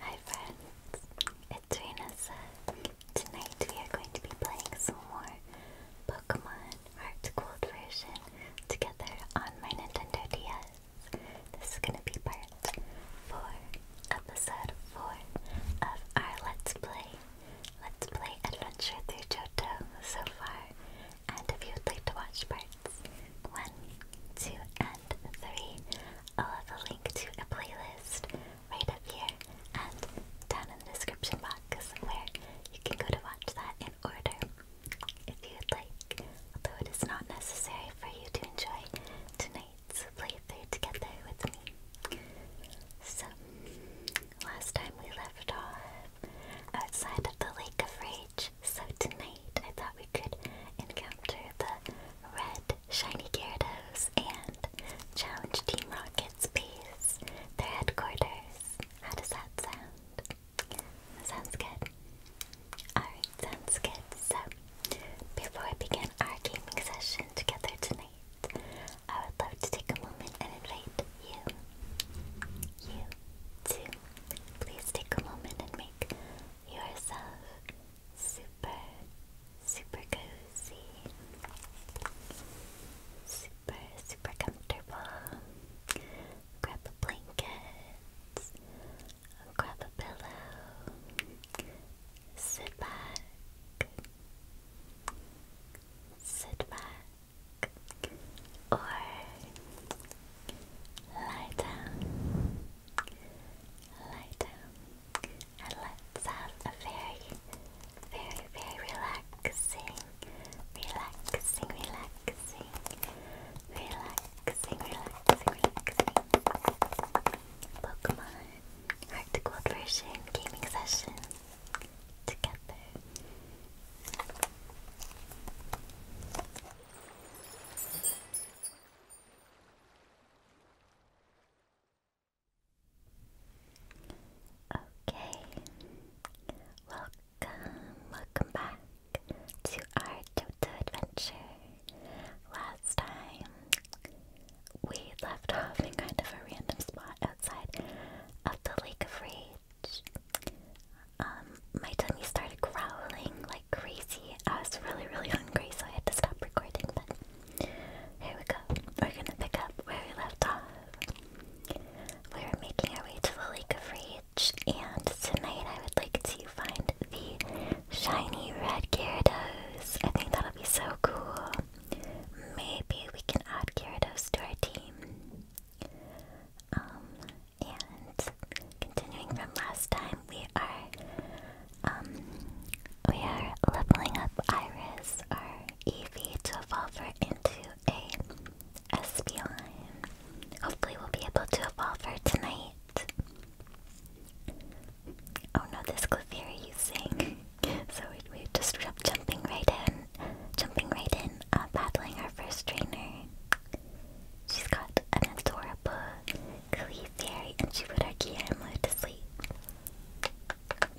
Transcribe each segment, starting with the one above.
Hi friends, it's Renessa. Tonight we are going to be playing some more Pokemon Heart Gold version together on my Nintendo DS. This is going to be part 4, episode 4 of our Let's Play. Let's Play Adventure through Johto so far. And if you would like to watch parts 1, 2, and 3. I'll have a link to a playlist right up here and down in the description box where you can go to watch that in order if you would like, although it is not necessary for you to enjoy tonight's playthrough together with me. So, last time we left off outside of the Lake of Rage, so tonight I thought we could encounter the Red Shiny Gyarados, and challenge Team Rocket's base, their headquarters. How does that sound? That sounds good. Alright, sounds good. So, before we begin our gaming session together tonight, I would love to take a moment and invite you, you, to please take a moment and make yourself super, super cozy, super, super comfortable. Grab a blanket, grab a pillow, sit back, sit back, or lie down. Lie down and let's have a very, very, very relaxing, relaxing, relaxing, relaxing, relaxing, relaxing Pokemon Heart version gaming session together. Okay, welcome, welcome back to our Toto adventure. Last time we left off in kind of a random spot outside of the Lake of Rage. Um, my tummy started growling like crazy. I was really, really hungry, so I had to stop recording. But here we go. We're gonna pick up where we left off. We are making our way to the Lake of Rage, and tonight I would like to find the shiny red Gyarados. I think that'll be so cool. Maybe we can add Gyarados to our team. Um, and continuing from last time, we are um we are leveling up Iris or Eevee to evolve her into a Espeon. Hopefully we'll be able to evolve her tonight. Oh no, this Clefairy using. so we, we just kept jumping right in, jumping right in, uh, battling our first trainer. She's got an adorable Cooey and she put our Guillermo to sleep.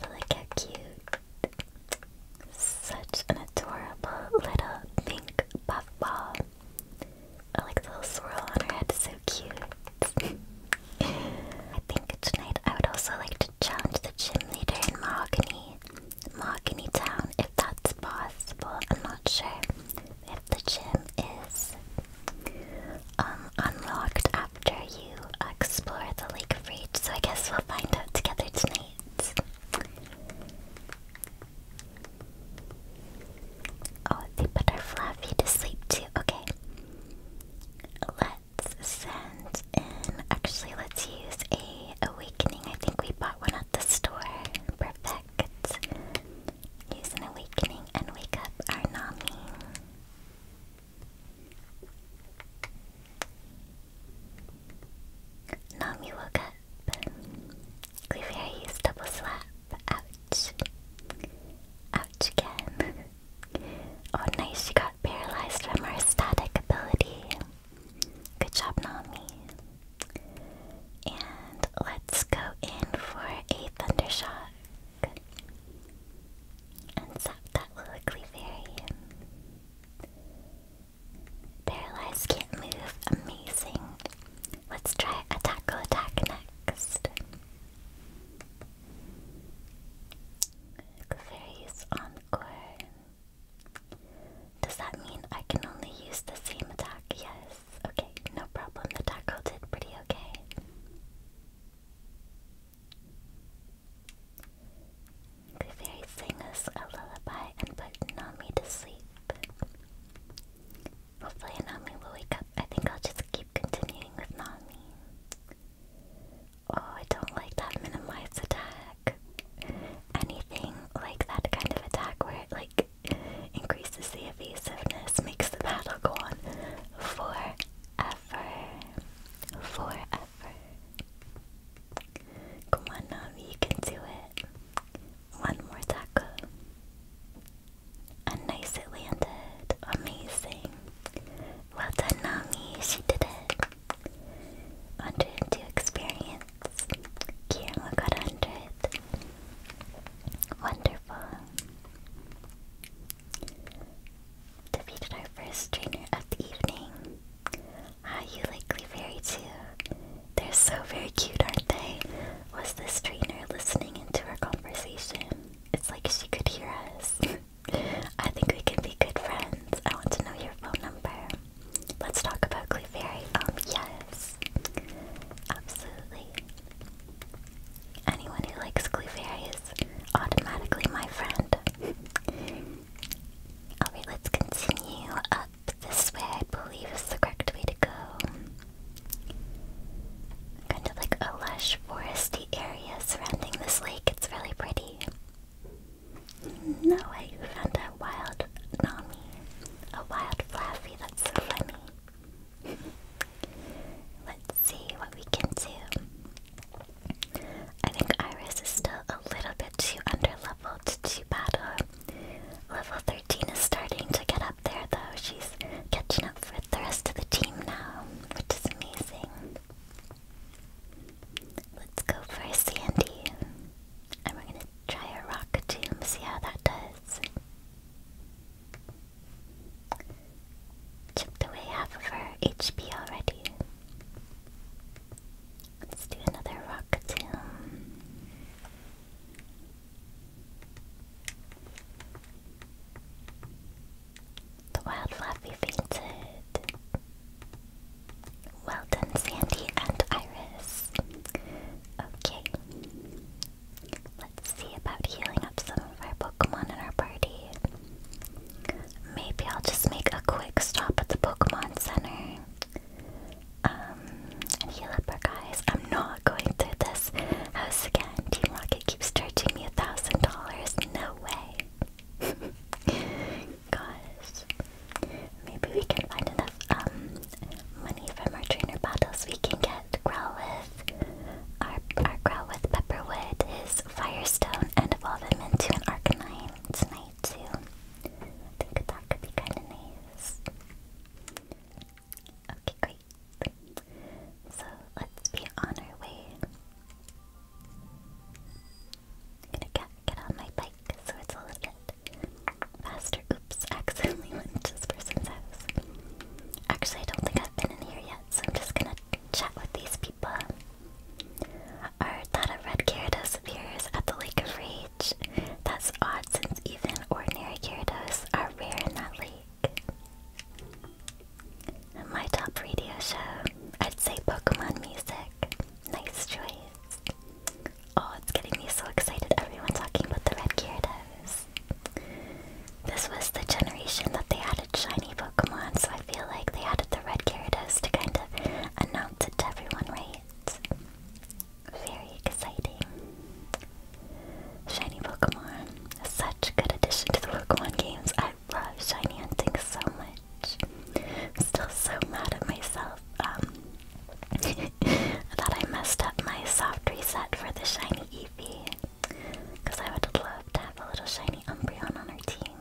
look how cute. Such an adorable little pink puff ball. Oh, like the little swirl on her head so cute. I think tonight I would also like to challenge the gym leader in Mahogany. Mahogany Town, if that's possible, I'm not sure if the gym is um, unlocked after you explore the Lake of Rage. So I guess we'll find out together tonight. Oh, they put our Fluffy to sleep too. Okay. Let's send in. Actually, let's use a awakening. I think we bought one at the store. Perfect. Use an awakening and wake up our Nami. Nami woke up. Clefairy used double slap. Ouch. Ouch again. oh nice, she got paralyzed from her static ability. Good job, Nami. And let's go in for a thunder shot. Good. Unsap that little Clefairy. Paralyzed can't move. Amazing. Let's try Attacko Attack next. Clefairy's Encore. Does that mean I can only use the same attack? Yes. Okay, no problem. The tackle did pretty okay. The fairy sang us a lullaby and put Nami to sleep. Hopefully Nami will wake up. I think I'll just keep continuing with Nami. Oh, I don't like that minimized attack. Anything like that kind of attack where it like increases the the evasiveness makes the battle go on forever. Forever. Come on, Nami, you can do it. One more taco. And nice it landed. Amazing. Well done, Nami. She did it. 102 experience. Kirama got 100. Wonderful. Defeated our first trainer of the evening. Ah, you likely fairy too. They're so very cute, aren't they? Was this trainer listening into our conversation? It's like she could hear us. I think we can be good friends. I want to know your phone number. Let's talk about Clefairy. Um, yes. Absolutely. Anyone who likes Clefairy is automatically my friend. Alright, let's continue up this way, I believe is the correct way to go. Kind of like a lush foresty area surrounding this lake, it's really pretty. No way, you found a wild Nami. A wild Fluffy, that's so funny. Let's see what we can do. I think Iris is still a little bit too underleveled to battle. Level 13 is starting to get up there though. She's catching up with the rest of the team now, which is amazing. Let's go for Sandy. And we're gonna try a rock tomb, see how that does. Chipped away half of her HP already. Let's do another rock tomb. wild flappy fainted. Well done, Sandy and Iris. Okay. Let's see about healing up some of our Pokemon in our party. Maybe I'll just make a quick stop at the Pokemon Center um, and heal up our guys. I'm not going through this house again. Team Rocket keeps charging me a thousand dollars. No way. Gosh. Maybe we can find enough um money from our trainer battles we can get and Growlithe. Our, our Growlithe Pepperwood is Firestone and evolve him into an tonight too. I think that could be kind of nice. Okay, great. So let's be on our way. gonna get, get on my bike so it's a little bit faster. Oops, accidentally went to this person's house. Actually, I don't think I've been in here yet, so I'm just gonna chat with these people. Our Thought of Red Gyarados appears at the Lake of Rage. That's odd since even ordinary Gyarados are rare in that lake. My top radio show, I'd say Pokemon music. Nice choice. Oh, it's getting me so excited, everyone talking about the Red Gyarados. This was the generation that they added shiny Pokemon, so I feel like they added the red Gyarados to kind of announce it to everyone, right? Very exciting. Shiny Pokemon. Such a good addition to the Pokemon games. I love shiny hunting so much. still so mad at myself. Um, that I messed up my soft reset for the shiny Eevee. Because I would love to have a little shiny Umbreon on our team.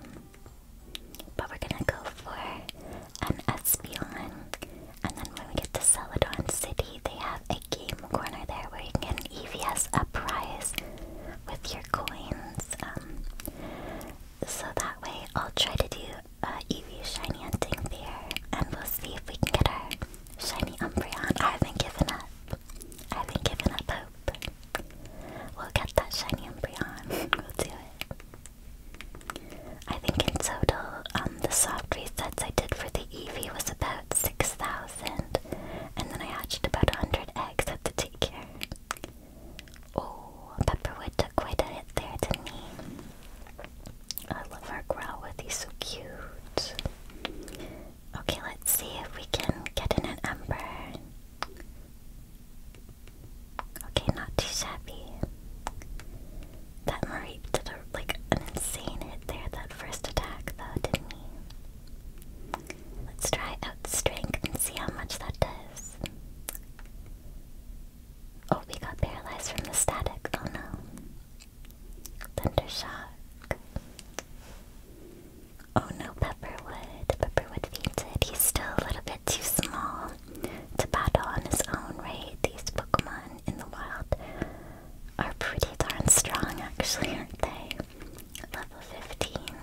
But we're gonna go for an Espeon. And then when we get to Celadon City, they have a game corner there where you can get an EVS a prize with your coins. Um, so that way, I'll try to do uh, Eevee shiny hunting there, and we'll see if we can get our shiny Umbreon. I haven't given up. I haven't given up hope. We'll get that shiny Umbreon. we'll do it. I think in total, um, the soft resets I did for the EV was about 6,000. And then I hatched about 100 eggs at the daycare. Oh, Pepperwood took quite a hit there, didn't he? I love our Growlithe, he's so cute. Okay, let's see if we can get in an ember. Okay, not too shabby. That Marie did a, like an insane hit there that first attack though, didn't he? Let's try out strength and see how much that does. Oh, we got paralyzed from the static. Oh no. Thunder shock. Oh no, Pepperwood. Pepperwood fainted. He's still a little bit too small to battle on his own, right? These Pokemon in the wild are pretty darn strong, actually, aren't they? Level 15.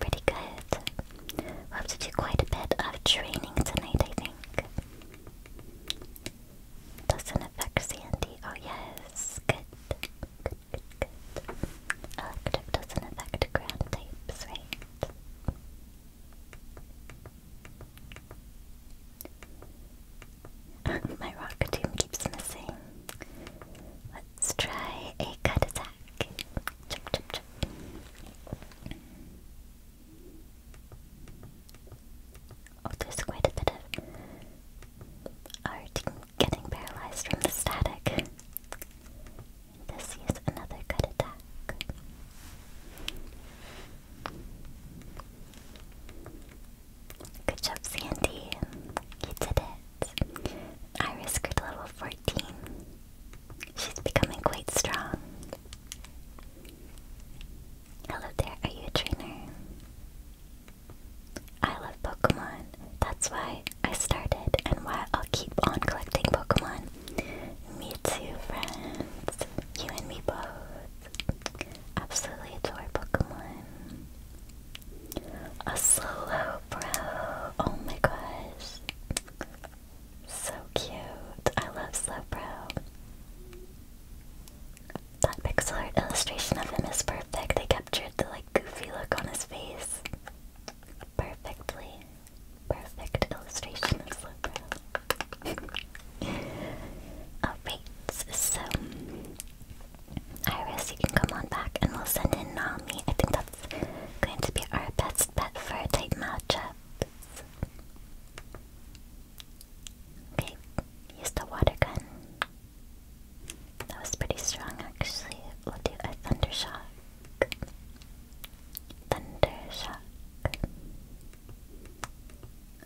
Pretty good. we have to do quite a bit of training tonight, I think. Doesn't affect Sandy. Oh, yes. Good. Good, good, doesn't affect ground types, right? My rock tomb keeps missing. Let's try a cut attack. Chip, chip, chip. Oh, there's quite a bit of are getting paralyzed from the static. This is another good attack. Good job, Sandy. You did it. Iris grew level 14. She's becoming quite strong. Hello there, are you a I love Pokemon. That's why I started and why I'll keep on collecting Pokemon. Me too, friends. You and me both. Absolutely adore Pokemon. A Slowbro. Oh my gosh. So cute. I love Slowbro. That pixel art illustration of him is perfect. They captured the like goofy look on his face. Perfectly. Perfect illustration of Slowbro. Alright, so Iris, you can come on back and we'll send in Nami. I think that's going to be our best bet for a tight matchups. Okay, use the water gun. That was pretty strong actually. We'll do a thunder shock. Thunder shock.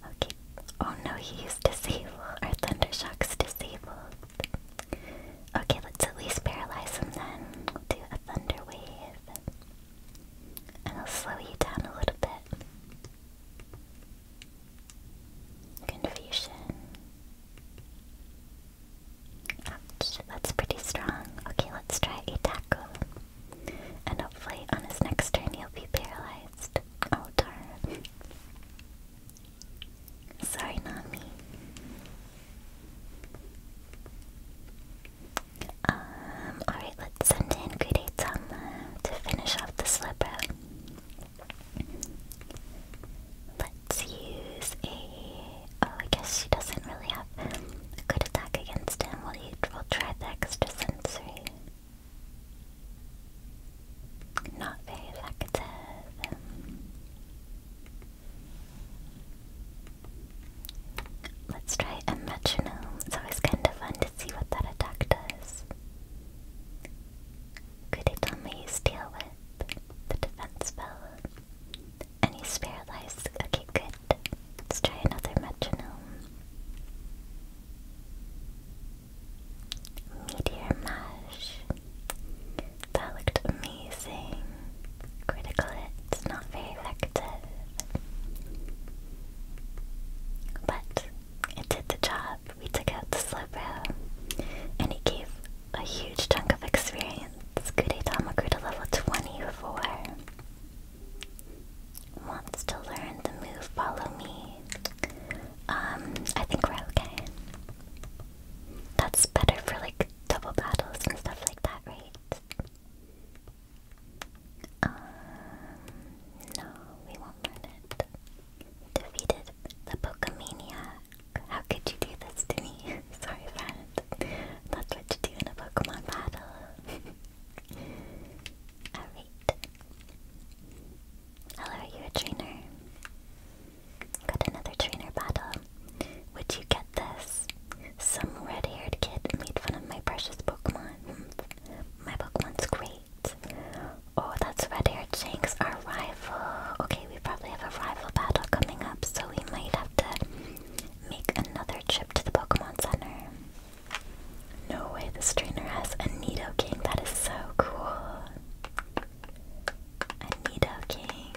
Okay. Oh no, he used Our thunder shock's disabled. Okay, let's at least paralyze him then. We'll do a thunder wave. And I'll slow you down a little bit. Confusion. Um, Ouch, that's pretty strong. Okay, let's try a tackle. And hopefully on his next turn he'll be paralyzed. Oh darn. Sorry, Nami. Um, alright, let's send in Great to finish off the slip Let's use a... Oh, I guess she doesn't really have a good attack against him. We'll, try the extra Not very effective. Let's try a It's always kind of fun to see what that attack does. Could it only deal with the defense bell. And he's Okay, good. Let's try another metronome. Meteor Mash. That looked amazing. Critical it's not very effective. But it did the job. We took out the Slowbro. And it a huge chunk of experience. Kudetama grew to level 24. Wants to learn the move Follow Me. Um, I think we're okay. That's better for like double battles and stuff like that, right? Um, no, we won't learn it. Defeated the Pokemania how could you do this to me? Sorry, friend. That's what you do in a Pokemon battle. Alright. Hello, are you a trainer? Got another trainer battle. Would you get this? Some red haired kid made fun of my precious Pokemon. My Pokemon's great. Oh, that's red haired Jinx, our rival. Okay, we probably have a rival battle coming up, so we might have to make another trip to the Pokemon Center. No way, this trainer has a King. That is so cool. A King.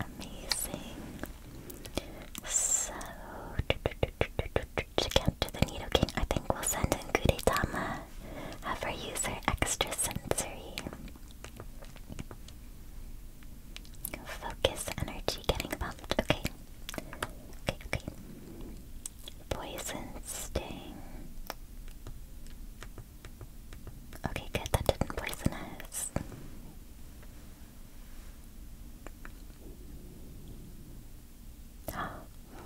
Amazing. So, to, to, to, to, to, to I think we'll send in Gudetama have her use her extra sensory. Focus energy getting bumped. Okay. Okay, okay. Poison sting. Okay, good. That didn't poison us.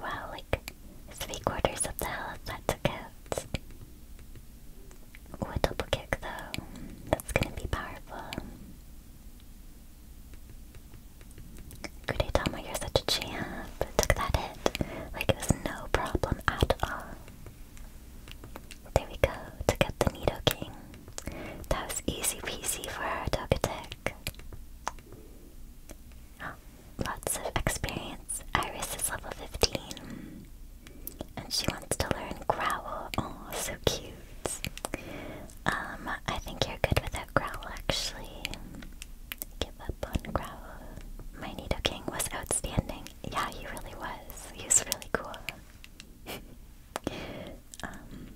wow, three quarters of the health that took out. double kick though. That's gonna be powerful. Gudetama, you're such a champ. Took that hit. Like it was no problem at all. There we go. Took out the Nido King. That was easy peasy for our Dogatek. Oh, lots of experience. Iris is level 15. And she wants to learn Growl. Oh, so cute. Um, I think you're good without Growl, actually. Give up on Growl. My Nido King was outstanding. Yeah, he really was. He was really cool. um,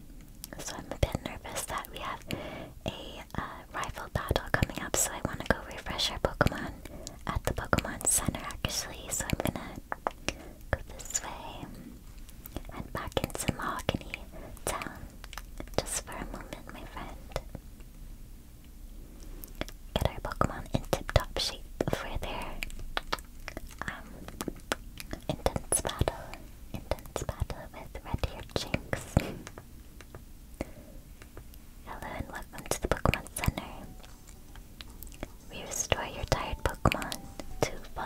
so I'm a bit nervous that we have a a uh, rifle battle coming up, so I want to go refresh our Pokemon at the Pokemon Center actually. So I'm gonna go this way and back into Mahogany Town just for a moment, my friend. Get our Pokemon in tip top shape for their um, intense battle. Intense battle with red haired Jinx. Hello and welcome to the Pokemon Center. We restore your tired Pokemon to full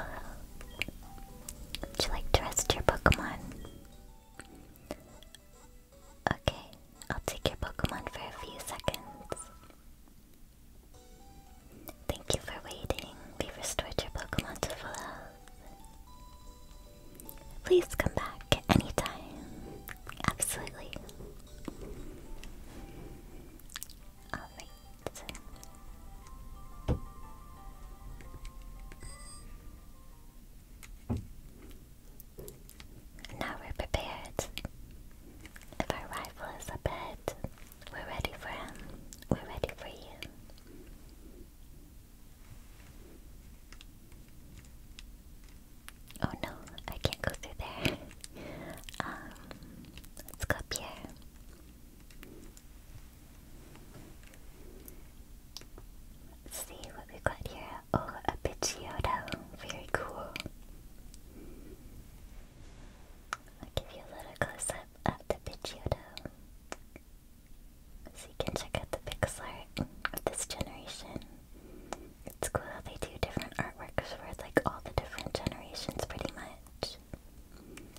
Would you like to rest your Pokemon? Okay, I'll take your Pokemon for a few seconds. Thank you for waiting. we restored your Pokemon to full health. Please come back anytime. Absolutely. Alright. Now we're prepared. If our rival is up ahead, we're ready for him. We're ready for you. Oh no, I can't go through there. Um, let's go up here. see what we got here. Oh, a Pidgeotto. Very cool. I'll give you a little close up of the Pidgeotto. So you can check out the pixel of this generation. It's cool how they do different artworks for like all the different generations pretty much.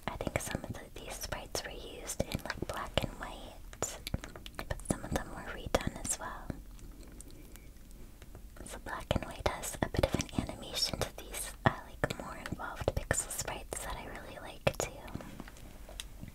I think some of these sprites were used in like black and white, but some of them were redone as well. So black and white has a bit of an animation to these uh, like more involved pixel sprites that I really like too.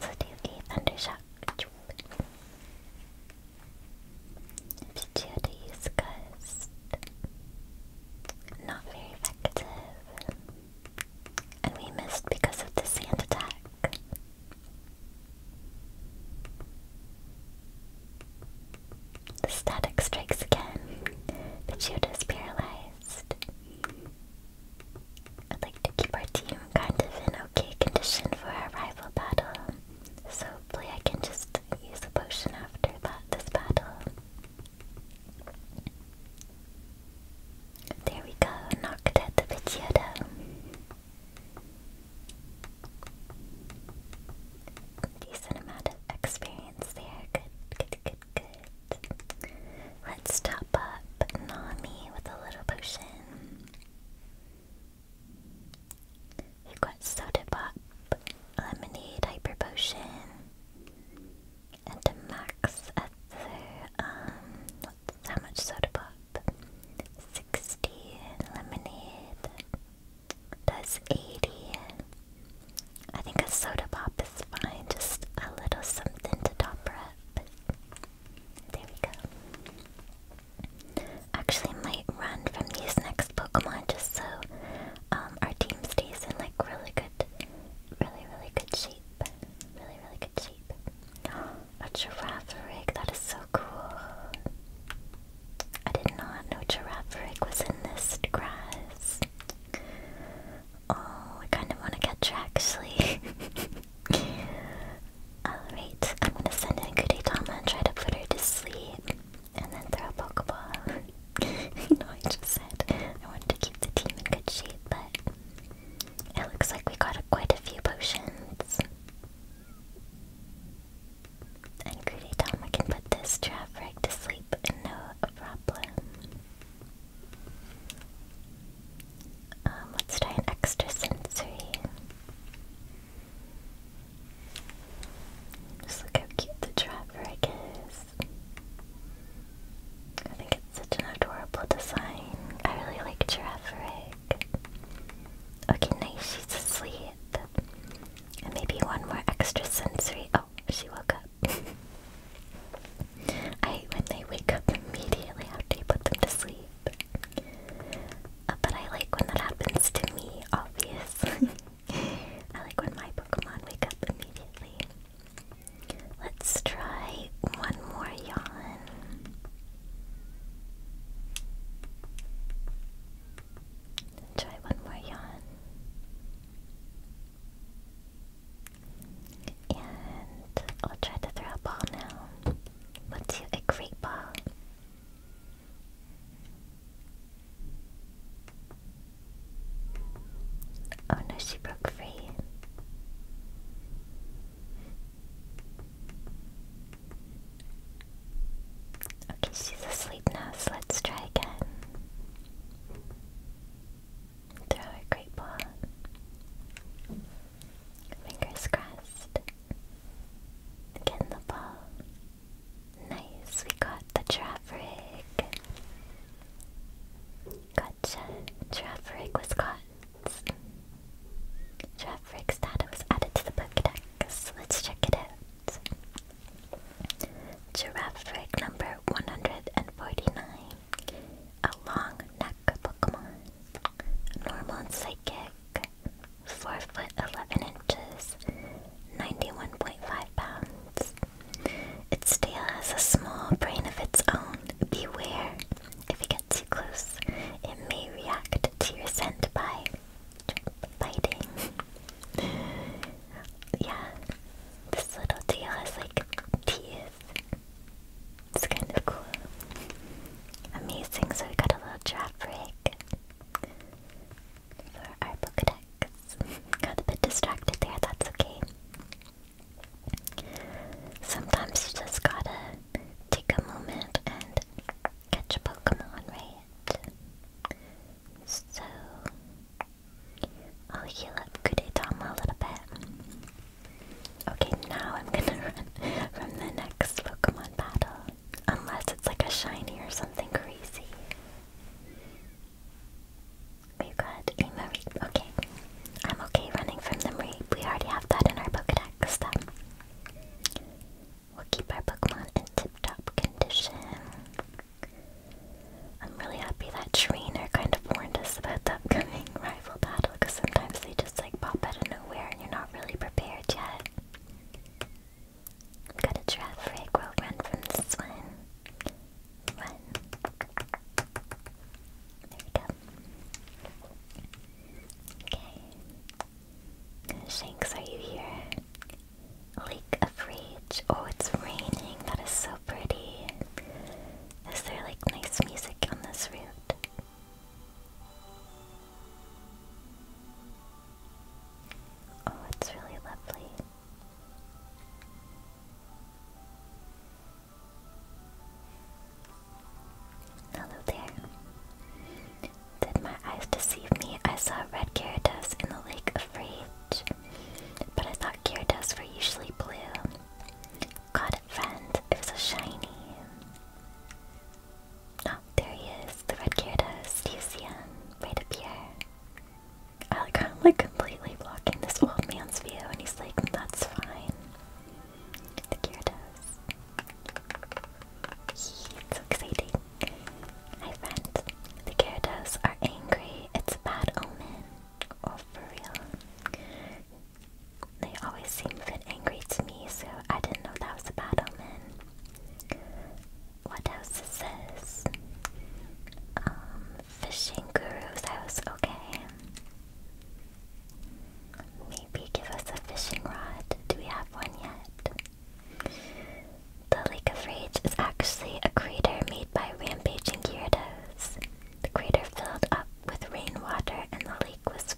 let do a Thundershock. Pidgeotto use Not very effective. And we missed because of the sand attack. The static strikes again. Pidgeotto is paralyzed. I'd like to keep our team kind of in okay condition for our rival battle. So hopefully I can just use a potion after this battle. There we go, knocked at the Pidgeotto. Decent amount of experience there. Good, good, good, good. Let's top but not me with a little potion. we got Soda Pop, Lemonade Hyper Potion, and to max at their, um, how much Soda Pop? 60, Lemonade does 80. I think a Soda Pop is fine, just a little something to top her there we go. Actually, might run from these next Pokemon just so um, our team stays in like really good, really really good shape. Really really good shape. A Girafarig, that is so cool. I did not know Girafarig was in this grass. Oh, I kind of want to get her actually. Alright, I'm gonna send in Tama and try to put her to sleep. And then throw a Pokeball. you I just said I wanted to keep the team in good shape, but it looks like we got quite a few potions. And Kudetama can put this trap to sleep, no problem. Um, let's try an extrasensory. Just look how cute the trapwreck is. I think it's such an adorable design. I really like Giraffe Okay, nice, she's asleep. maybe one more extra sensory. Oh, she woke up. I hate when they wake up immediately after you put them to sleep. Uh, but I like when that happens to me, obviously. I like when my Pokemon wake up immediately. Let's try one more yawn. Try one more yawn. And I'll try to throw a ball now. Let's a great ball. Oh no, she broke free. Okay, she's asleep now, so let's try again. Throw a great ball. Fingers crossed. Getting the ball. Nice, we got the trap rig. Gotcha. was caught. Trap rig's added to the Pokedex. Let's check it out. Giraffe rig number 149. A long neck Pokemon. Normal Psychic, 4 foot 11 inches, 91.5 pounds. Its tail has a small brain of its own. Beware, if it gets too close, it may react to your scent by biting. yeah, this little tail has like teeth. It's kind of cool. Amazing, so we got a little draft break for our Pokedex. got a bit distracted there, that's okay. Sometimes you just gotta take a moment and catch a Pokemon, right? So, I'll heal up Kudetama a little bit. Okay, now I'm gonna run from the next Pokemon battle. Unless it's like a shiny or something crazy. We've got a Mareep. Okay. I'm okay running from the We already have that in our Pokedex. Then. We'll keep our Pokemon in tip-top condition. I'm really happy that trainer kind of warned us about the upcoming rival battle because sometimes they just. It's like pop out of nowhere and you're not really prepared yet. Got a traffic, we'll run from this one. There we go. Okay. Shanks, are you here? Lake of Rage. Oh, it's raining. That is so pretty. Is there like nice music on this route? Oh, it's really lovely. Hello there. Did my eyes deceive me? I saw red Gyarados in the Lake of Rage, but I thought Gyarados were usually blue. Got it, friend. It was shiny. Oh, there he is, the red Gyarados, do you see him? Right up here. I like how i like completely blocking this old man's view and he's like, that's fine. The Gyarados. It's exciting. Hi friend. The Gyarados are angry. It's a bad omen. Oh, for real. They always seem a bit angry to me, so I didn't know that was a bad omen. What else is this? Um, fishing guru's house, okay. Maybe give us a fishing rod. Do we have one yet? The Lake of Rage is actually a crater made by rampaging gyarados. The crater filled up with rainwater and the lake was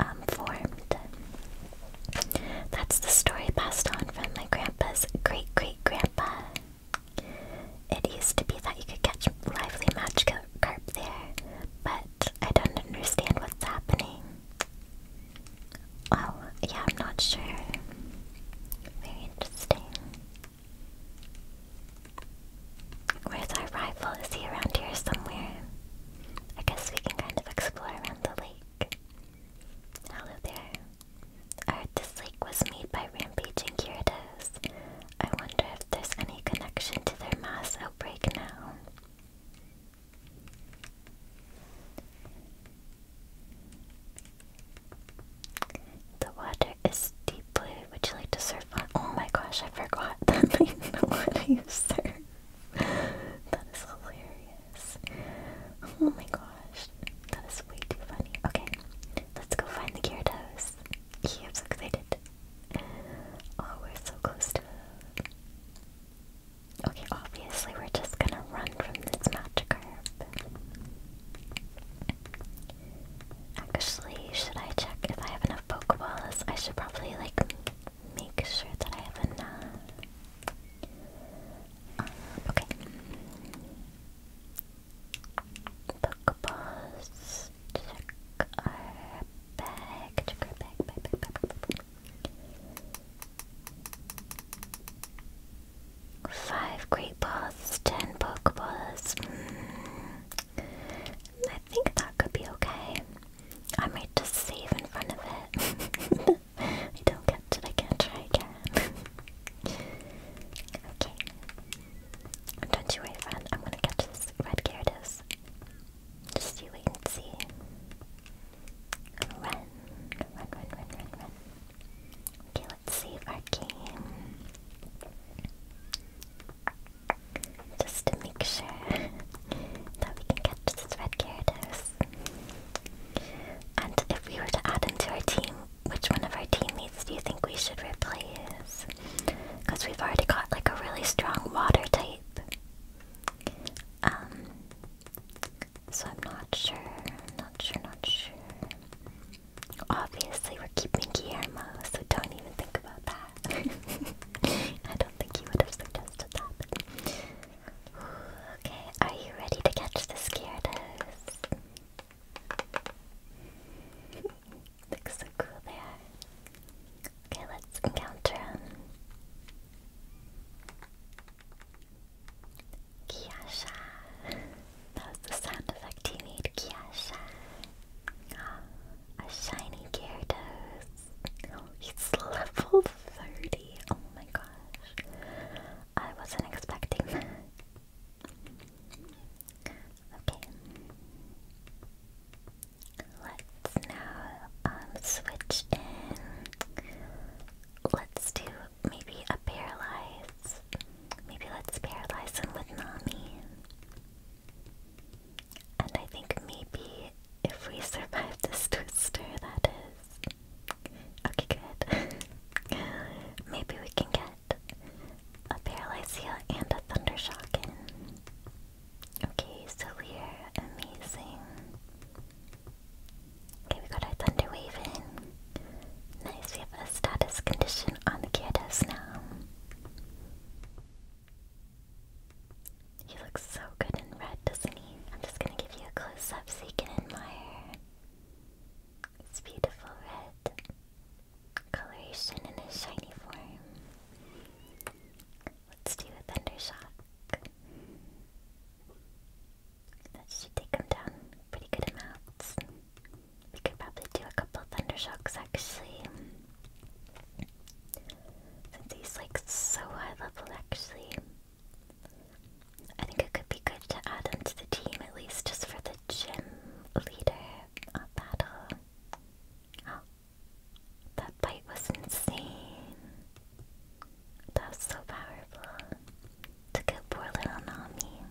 um, formed. That's the story passed on from my grandpa's great great grandpa. It used to be that you could catch lively match carp there, but I don't understand what's happening. Well, yeah, I'm not sure. Very interesting. Where's our rival? Is he around here somewhere? I guess we can kind of explore around the lake. Hello there. Art, this lake was made by rampaging Gyarados. I wonder if there's any connection to their mass outbreak now. The water is deep blue. Would you like to surf on? Oh my gosh, I forgot that I use that is hilarious. Oh my gosh. That is way too funny. Okay, let's go find the Gyarados. Yeah, I'm so excited. Oh, we're so close Okay, obviously we're just gonna run from this magic Magikarp. Actually, should I check if I have enough Pokeballs? I should probably, like, make sure that I have enough. Um, okay. Pokeballs. Check our bag. Check our bag. Five great balls. Ten Pokeballs. Hmm. I think that could be okay. I might just save in front of it. I don't get it, I can't try again. okay. Don't you worry, friend. I'm gonna catch this red Gyarados. Just you wait and see. Run. Run, run, run, run, run. Okay, let's save our just to make sure that we can catch this red Gyarados. And if we were to add him to our team, which one of our teammates do you think we should replace? Because we've already got like a really strong water type. Um, so I'm not sure, not sure, not sure. Obviously, we're keeping Guillermo, so don't even think about that. I don't think he would have suggested that. Ooh, okay, are you ready to catch the Gyarados? Looks so cool they Okay, let's encounter him. Kiasha. the sound effect he made. Kiasha. Ah. A shiny Gyarados. It's level 30. Oh my gosh. I wasn't expecting that. Okay. Let's now um, switch in. Let's do maybe a paralyze. Maybe let's paralyze him with Nami. And I think maybe if we survive this twister, that is. Okay, good. maybe we can get a Paralysia and a thunder shock in. Okay, still here, amazing. Okay, we got our Thunder Wave in. Nice, we have a status condition on the Gyarados now. He looks so good in red, doesn't he? I'm just gonna give you a close up so you can admire. It's beautiful red coloration in a shiny form. Let's do a thundershock. That should take him down pretty good amounts. We could probably do a couple thundershocks actually. Since he's like so high level actually. I think it could be good to add him to the team at least just for the gym leader battle. that bite was insane. That was so powerful. Took out poor little Nami.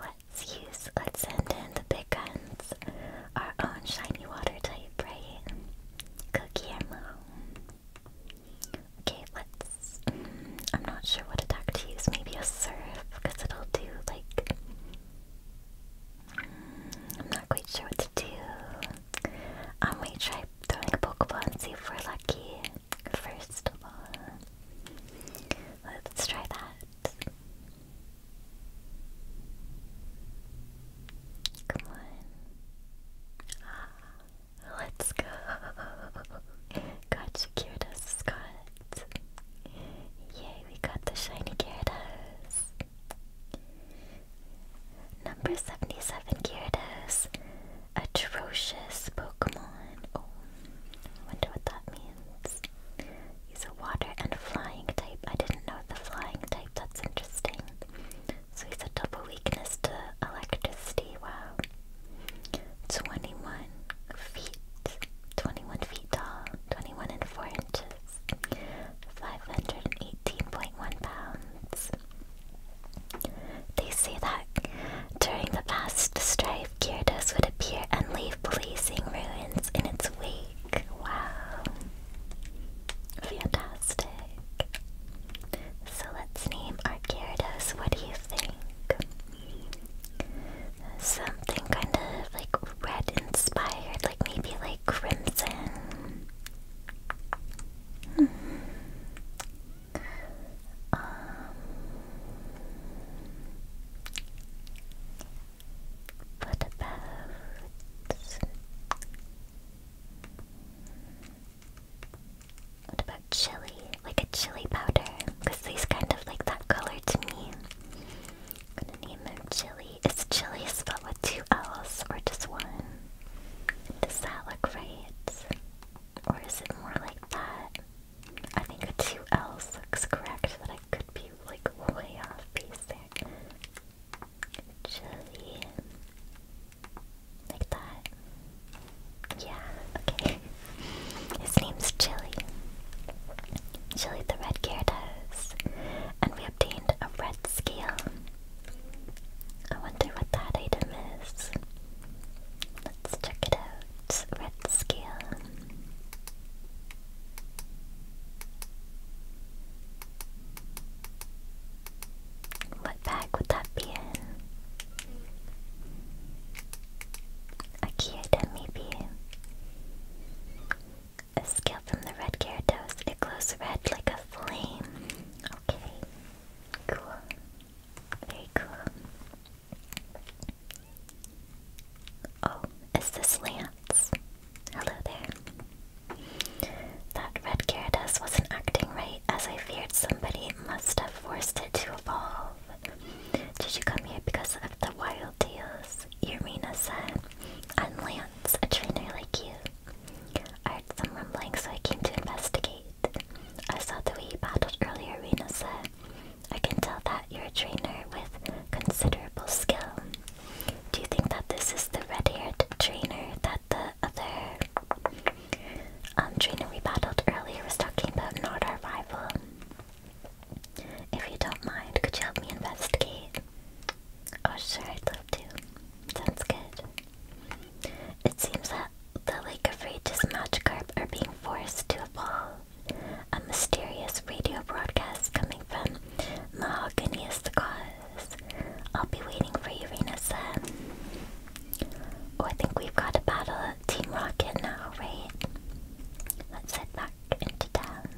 Let's use, let's send in the big guns. Our own shiny water type, right? Cookie Okay, let's. Mm, I'm not sure what attack to use. Maybe a surf, because it'll do like. Mm, I'm not quite sure what to do. I um, might try throwing a Pokeball and see if we're lucky. First of all, let's try that. Come on. Ah, let's go. Got Gyarados, Scott. Yay, we got the shiny Gyarados. Number 77 Gyarados. Atrocious Pokemon. Oh, wonder what that means. He's a water and flying type. I didn't know the flying type. That's interesting. So he's a double weakness to electricity. Wow. 21 feet. 21 feet tall. 21 and 4 inches. 518.1 pounds. They say that during the past strife, Gyarados would appear and leave blazing ruins in its wake. Wow. Fantastic. So let's name our Gyarados. What do you think? Something kind of like red inspired, like maybe like crimson. Hmm. Um, what about what about chili? Like a chili powder? Because these kind of like that color to me. i gonna name him Chili. Is Chili spelled with two L's or just one? Does that look right? Or is it more like that? I think the two L's looks correct, but I could be like way off basic. Chili. Like that. Yeah, okay. His name's Chili. Chili the Red Gyarados. And we obtained a red scale. I wonder what that item is. Let's check it out. Red scale. What bag would that be in? A key item, maybe. A scale from the red Gyarados. It glows red like a flame. Okay. Cool. Very cool. Oh, is this Lance? Hello there. That red Gyarados wasn't acting right, as I feared somebody must have forced it to evolve. Did you come here because of the wild deals? Irina said. And Lance, a trainer like you. I heard some rumblings, so I came to investigate. I saw the way you battled earlier, Rena said. I can tell that you're a trainer with considerable skill. Do you think that this is the red-haired trainer that the other um, Trina trainer we battled earlier was talking about not our rival. If you don't mind, could you help me investigate? Oh sure, I'd love to. Sounds good. It seems that the Lake of Rage's Magikarp are being forced to evolve. A mysterious radio broadcast coming from Mahogany is the cause. I'll be waiting for you, Rena-san. Oh, I think we've got to battle Team Rocket now, right? Let's head back into town.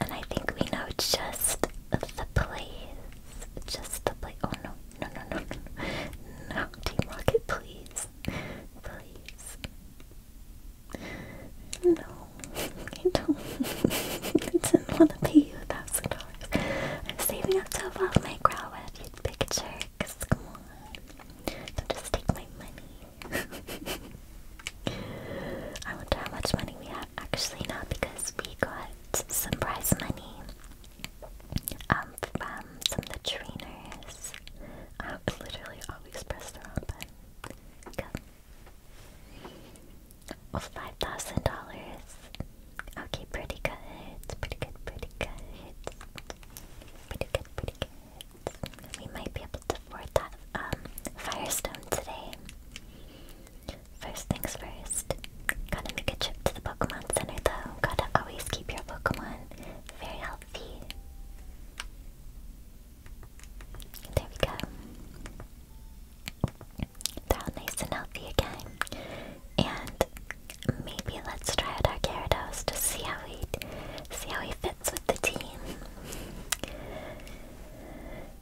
And I think we know just the place. Just the place. Oh no, no, no, no. No, Team Rocket, please. Please. No. I don't. I didn't want to pay you a thousand dollars. I'm saving up to above my growl with your picture, cause come on. Don't just take my money. I wonder how much money we have actually now because we got some prize money um, from some of the trainers. I literally always press the wrong button. Go. Oh, $5,000. Okay, pretty good. Pretty good, pretty good. Pretty good, pretty good. We might be able to afford that um, Firestone today. First things first. Gotta make a trip to the Pokemon Center though. Gotta always keep your Pokemon very healthy. There we go. They're all nice and healthy again. And maybe let's try out our Gyarados to see how he see how he fits with the team.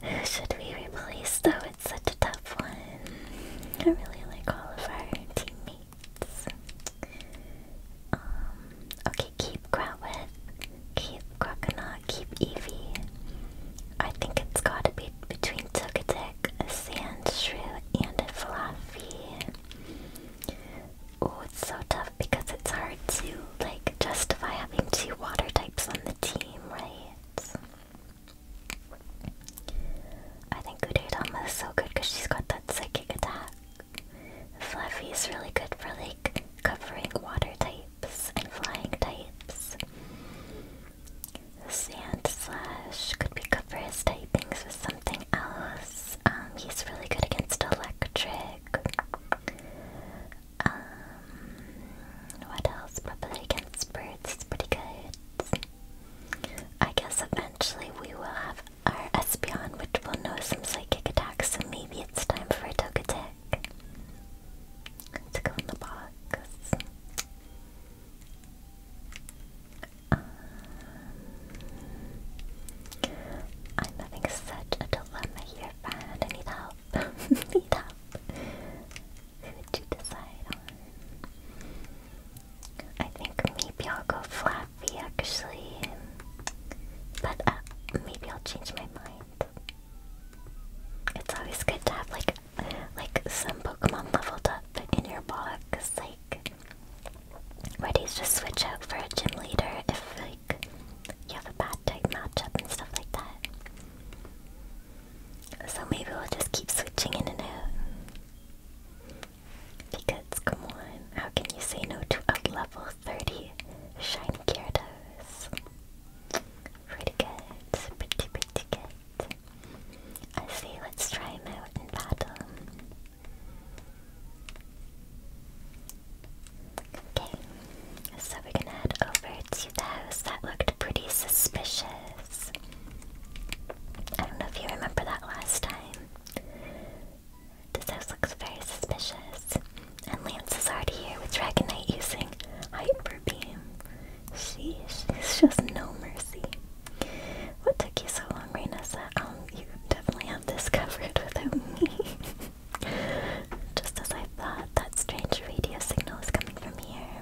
Who should we replace though? It's such a tough one. I really like all of our teammates. Um, okay, keep Growlithe, keep Croconaw keep Evie. I think it's gotta be between Togetic, a Sand Shrew, and a Fluffy. Oh, it's so tough because it's hard to, like, justify having two water types on the team, right? I think Udaytama is so good because she's got that psychic attack. Fluffy is really good for, like, covering water types and flying types. Sand Slash could be good for his typings with something else. Um, he's really good against electric. Um, what else? Probably against birds, It's pretty good. I guess eventually we will have our Espion, which will know some psychic attacks, so maybe it's time for a Togetic to go in the box. Um, I'm having such a dilemma here, I need help. need help. Who would you decide on? I think maybe I'll go Flappy actually. But uh, maybe I'll change my mind. It's always good to have like like some Pokemon leveled up in your box, like ready to switch out for a gym leader if like you have a bad type matchup and stuff like that? So maybe we'll just keep switching in and out. Because come on, how can you say no to a level 30 shiny Gyarados? Pretty good, pretty pretty good. I see, let's try him out in battle. Okay, so we're gonna head over to the house that looked pretty suspicious. I don't know if you remember that last time. This house looks very suspicious. And Lance is already here with Dragonite using Hyper Beam. She, she's just no mercy. What took you so long, Raina? Um, you definitely have this covered without me. just as I thought, that strange radio signal is coming from here.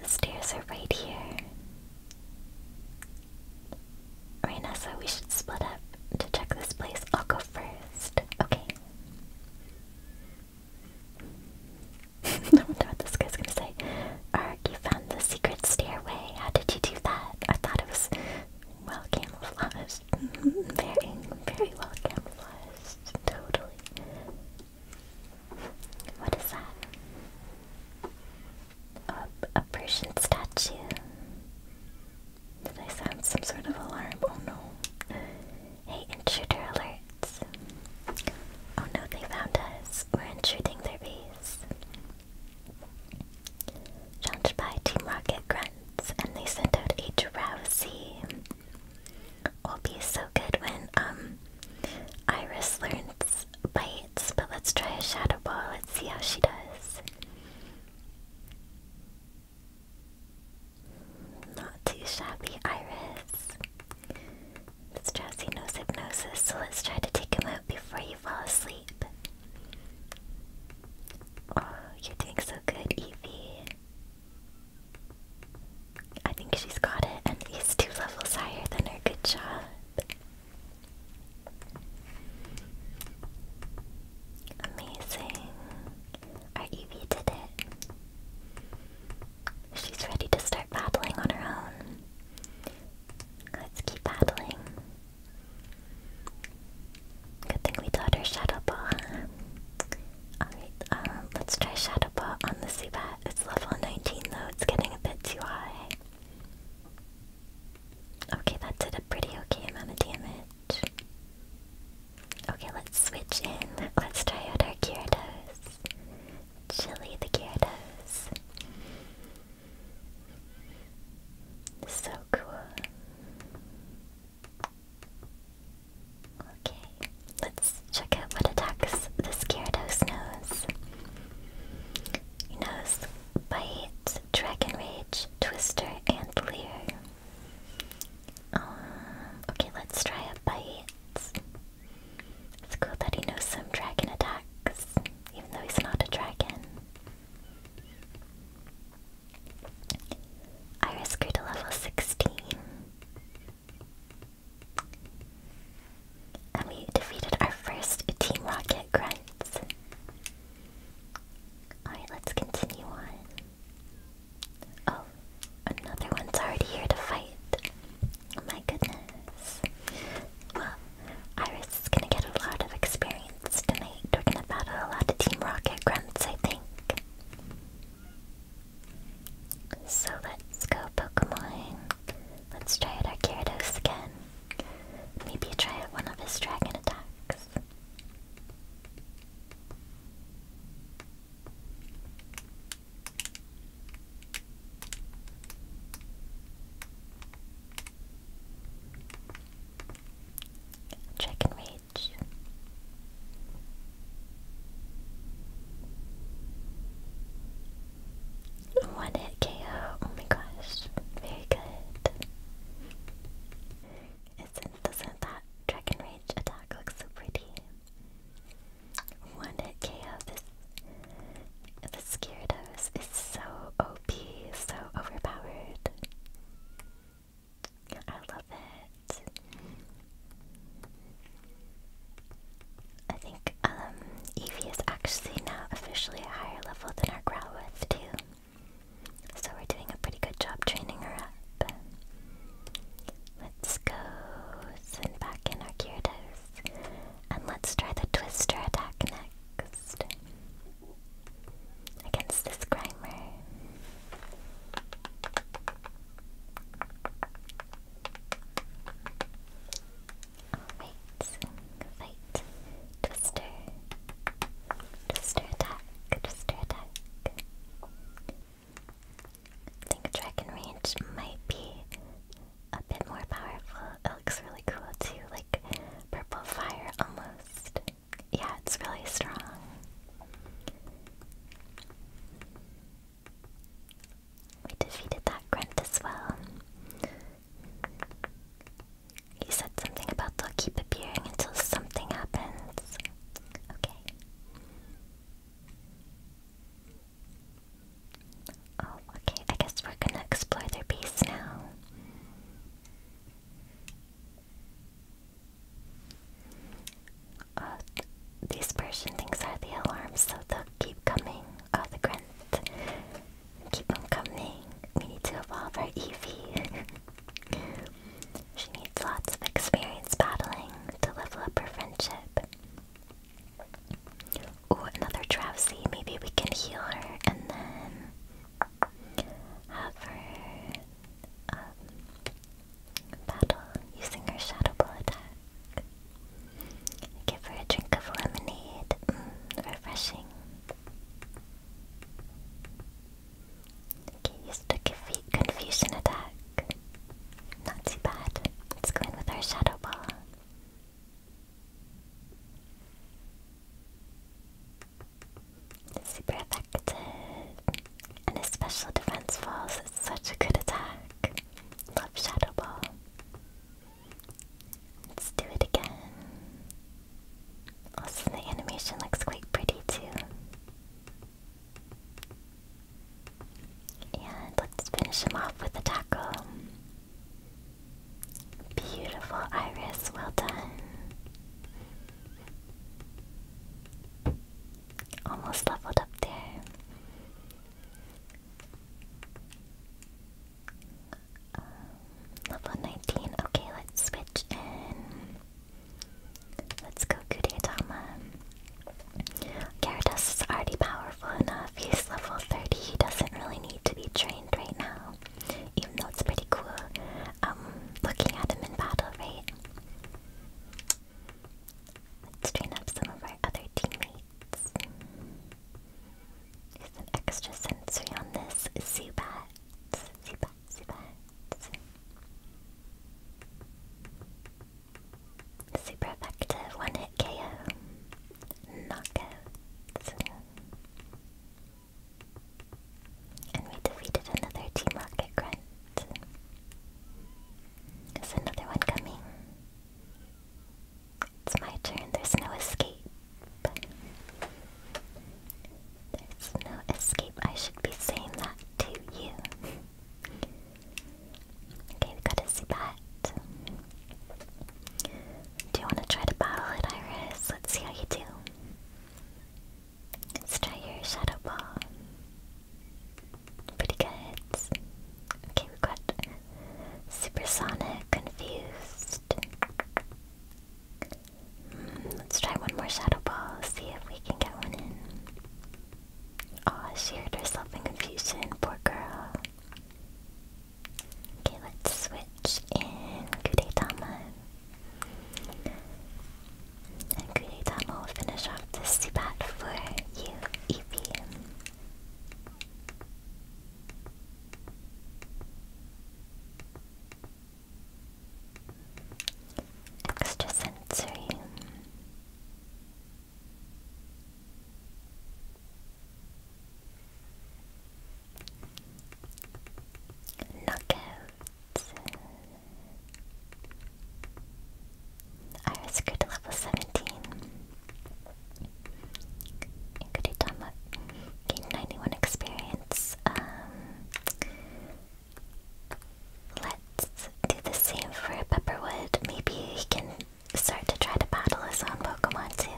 The stairs are right here. Reina so we should split up to check this place. I'll go first. Okay. I wonder what this guy's gonna say. Ark, you found the secret stairway. How did you do that? I thought it was well camouflaged. very, very well camouflaged. Totally. What is that? A, a Persian statue. Did I sound some sort of alarm? Oh no. Hey, intruder alerts. Oh no, they found us. We're intruding their base. Jumped by Team Rocket grunts, and they sent out a drowsy. Will be so good when um Iris learns bites, but let's try a shadow ball. Let's see how she does. Not too shabby, Iris. Mr. Jesse knows so let's try to take him out before you fall asleep. Oh, you're so good, Evie. I think she's got it, and he's two levels higher than her. Good job. Amazing. Our Evie did it. She's ready to start battling on her own. Let's keep battling. Good thing we taught her Shadow Ball. Alright, um, let's try Shadow Ball on the Zubat. It's level 19 though, it's getting a bit too high. Okay, that did a pretty okay amount of damage. Okay, let's switch in. Let's try out our Gyarados. Chili the Gyarados. So cool. Okay, let's check out what attacks this Gyarados knows. He knows Bite, Dragon Rage, Twister, and Leer. Uh, okay, let's try a bite. It's cool that he knows some dragon attacks, even though he's not a dragon. Iris grew to level 16. And we defeated our first Team Rocket grunts. Alright, let's continue on. Oh, another one's already here to fight. Oh my goodness. Well, Iris is gonna get a lot of experience tonight. We're gonna battle a lot of Team Rocket grunts, I think. So let's go, Pokemon. Let's try out our Gyarados again. Maybe try one of his dragon attacks. Chicken Rage. One hit KO. Oh my gosh. Very good is doesn't that dragon rage attack look so pretty? One KO this this is so OP, so overpowered. I love it. I think um is actually now officially a higher level than our Growlithe too. So we're doing a pretty good job training her up. Let's go send back in our Gyarados. And let's try the Twister attack next. Against this Grimer. Alright, fight. Twister. Twister attack. Twister attack. I think Dragon Range might be a bit more powerful. It looks really cool too, like purple fire almost. Yeah, it's really strong. We defeated that grunt as well. He said something about they'll keep appearing until something happens. Okay. Oh, okay. I guess we're gonna explore their base now. Uh, these Persian things are the alarms, so they'll keep coming. Oh, the grunt. Keep them coming. We need to evolve our Eevee. She needs lots of experience battling to level up her friendship. Ooh, another Drowsy. Maybe we can heal her and then have her um, battle using her Shadow Ball attack. Give her a drink of lemonade. Mm, refreshing. Okay, used a confu confusion attack. Not too bad. Let's go in with our shadow ball. Super effective. And his special defense falls is such a good attack. Love shadow ball. Let's do it again. Also, the animation looks quite pretty too. And let's finish him off with a taco. Beautiful iris, well done. Almost leveled up there. Um, level 19. Okay, let's switch in. Let's go, Kudiatama. Gyarados is already powerful enough. He's level 30. He doesn't really need to be trained right now. Even though it's pretty cool um, looking at him in battle, right? Let's train up some of our other teammates. There's an extra sensory on this Zubat. Zubat spots. Super effective one hit KO. Knockouts. And we defeated another Team Rocket Grunt. Is another one coming? It's my turn, there's no escape. There's no escape. I should be saying that to you. okay, we gotta see Do you want to try to battle it, Iris? Let's see how you do. Let's try your shadow ball. Pretty good. Okay, we got supersonic, confused let's try one more shadow ball, see if we can get one in. oh, she hurt herself in confusion, poor girl. Okay, let's switch in Kudetama. And Kudetama will finish off this Zubat for you, Eevee. Extrasensory. Knockout. Iris grew level 17. Inkuritama gained 91 experience. Um, Let's do the same for Pepperwood. Maybe he can start to try to battle us on Pokemon too.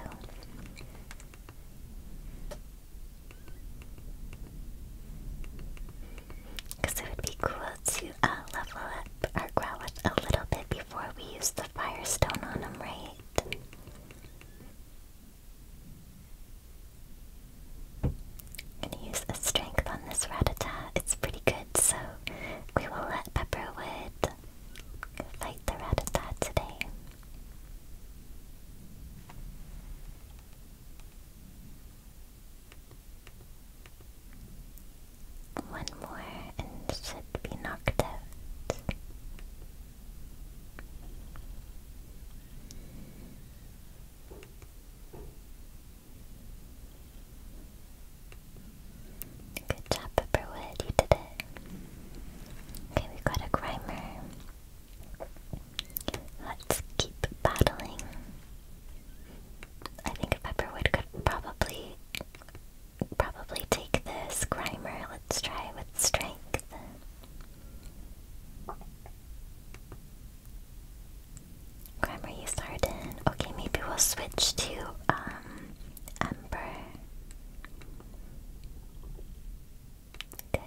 Because it would be cool to uh, level up our Growlithe a little bit before we use the Firestone on him, right? gonna use a strength on this Rattata. It's pretty good, so we will let Pepperwood fight the Rattata today. One more and should be knocked out. Good job, Pepperwood. You did it. Okay, we got a Grimer. Let's keep battling. I think Pepperwood could probably probably take this Grimer. Let's try with strength. Grammar Sarden. Okay, maybe we'll switch to um Ember. Good.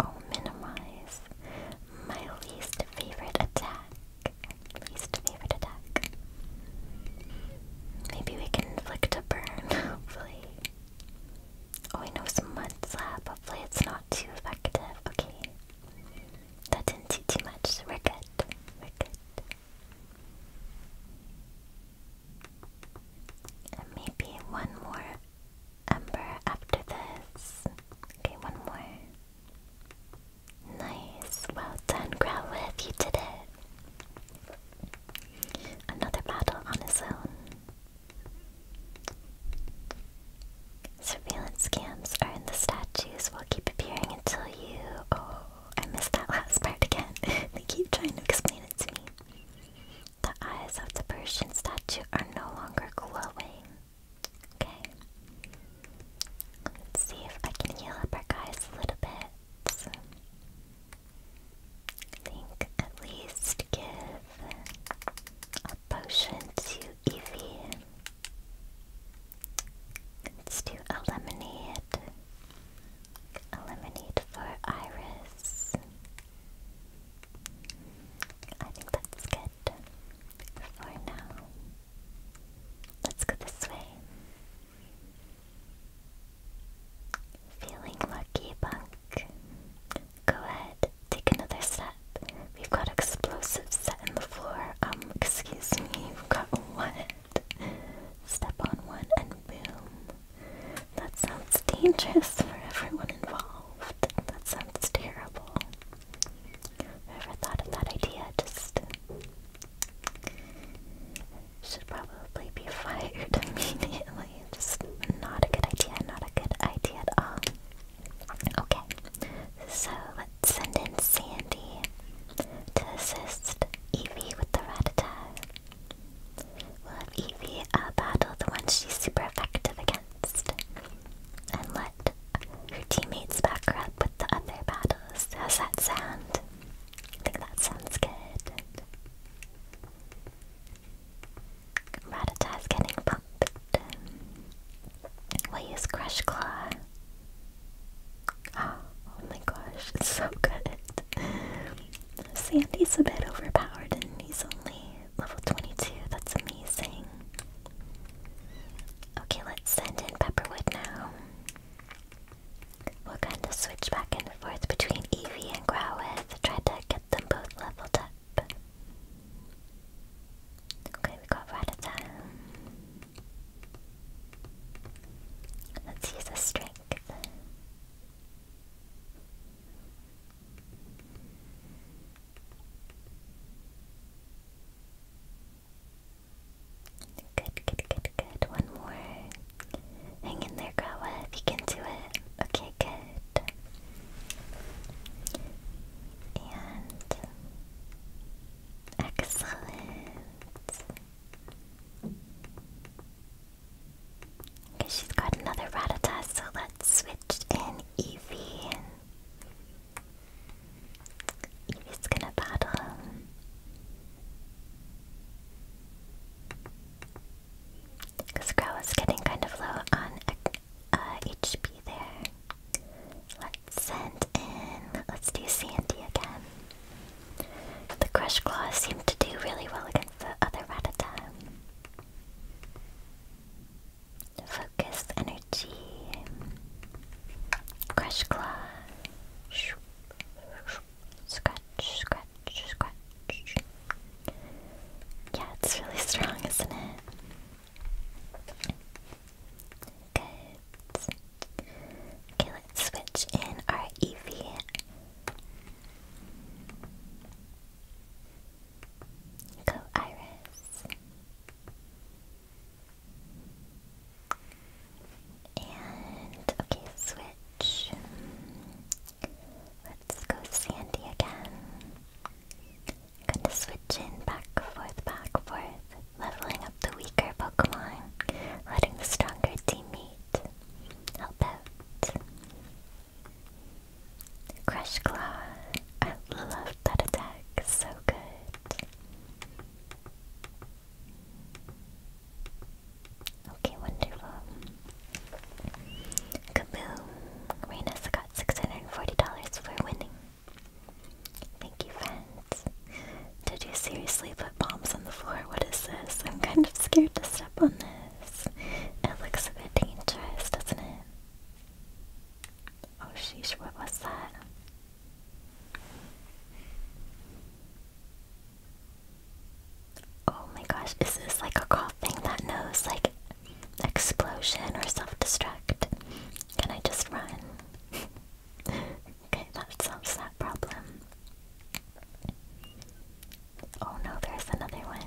Oh, minimize. My least favorite attack. Least favorite attack. Maybe we can inflict a burn, hopefully. Oh, I know some mud slab. Hopefully it's not too effective. Okay. That didn't take too much. We're good. We're good. maybe one more ember after this. Okay, one more. Nice. Well done, Growlithe. You did it. Another battle on his own. Surveillance scams are in the statues will keep appearing until you... Oh, I missed that last part again. they keep trying to explain it to me. The eyes of the Persian statue are no longer glowing. Okay. Let's see if I can heal up our guys a little bit. I think at least give a potion to Eevee. Let's do A Eliminate for Iris. I think that's good for now. Let's go this way. Feeling lucky, Bunk go ahead, take another step. We've got explosives set in the floor. Um, excuse me, we've got what? Step on one and boom. That sounds dangerous for everyone involved. That sounds terrible. Whoever thought of that idea just should probably be fired immediately. Just not a good idea, not a good idea at all. Okay, so let's send in Sandy to assist Evie with the Rattata. We'll have Evie uh, battle the one she's super effective against, and let her teammates back up with the other battles. How's that sound? I think that sounds good. Rattata's getting will use Crush Claw. Oh, oh, my gosh, it's so good. Sandy's a bit overpowered and he's only level 22. That's amazing. Okay, let's send in Pepperwood now. we are gonna switch back and forth between Eevee and Growlithe, try to get them both leveled up. Okay, we got Rattata. Let's use a strength. Good, good, good, good. One more. Hang in there, Grawa, you can do it. Okay, good. And excellent. Okay, she's got another Rattata, so let's switch in Eevee. Eevee's gonna battle Because Growl is getting kind of low on HP uh, there send in. Let's do Sandy again. The Crush Claw seemed to do really well against the other Rattata. Focus energy. Crush Claw. Scratch, scratch, scratch. Yeah, it's really strong, isn't it? Good. Okay, let's switch in our EV. Go Iris. And okay, switch. Let's go Sandy again. Gonna switch in back forth, back forth, leveling up the weaker Pokemon, letting the stronger teammate help out. Crush Claw. I love that attack, so good. Okay, wonderful. Kaboom! Reyna's got $640 for winning. Thank you, friends. Did you seriously put bombs on the floor? What is this? I'm kind of scared to step on this. It looks a bit dangerous, doesn't it? Oh, sheesh, what was that? Oh my gosh, is this like a coughing that knows like explosion or self destruct? Can I just run? okay, that solves that problem. Oh no, there's another one.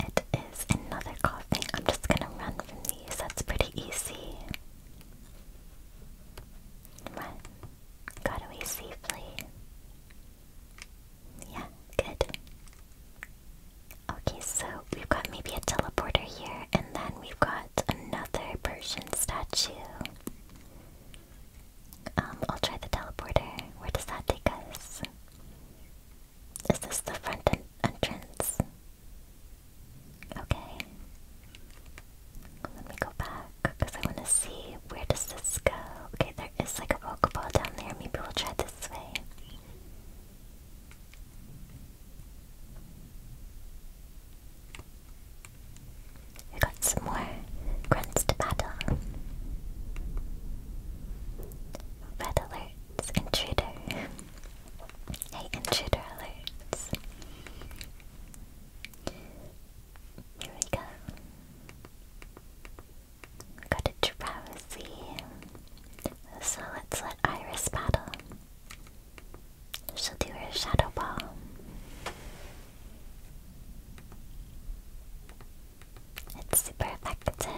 it is another coughing. I'm just gonna run from these. That's pretty easy. Run. Got away safely. Yeah, good. Okay, so we've got maybe a teleporter here, and then we've got another Persian statue. Um, I'll try the teleporter. Where does that take us? Is this the front entrance? Okay. Let me go back, because I want to see where does this go. Okay, there is like a Pokeball down there. Maybe we'll try this way. I got some more grunts to battle. Red alerts, intruder. Hey, intruder alerts. Here we go. Got a drowsy. So let's let Iris battle. She'll do her shadow ball. It's super effective.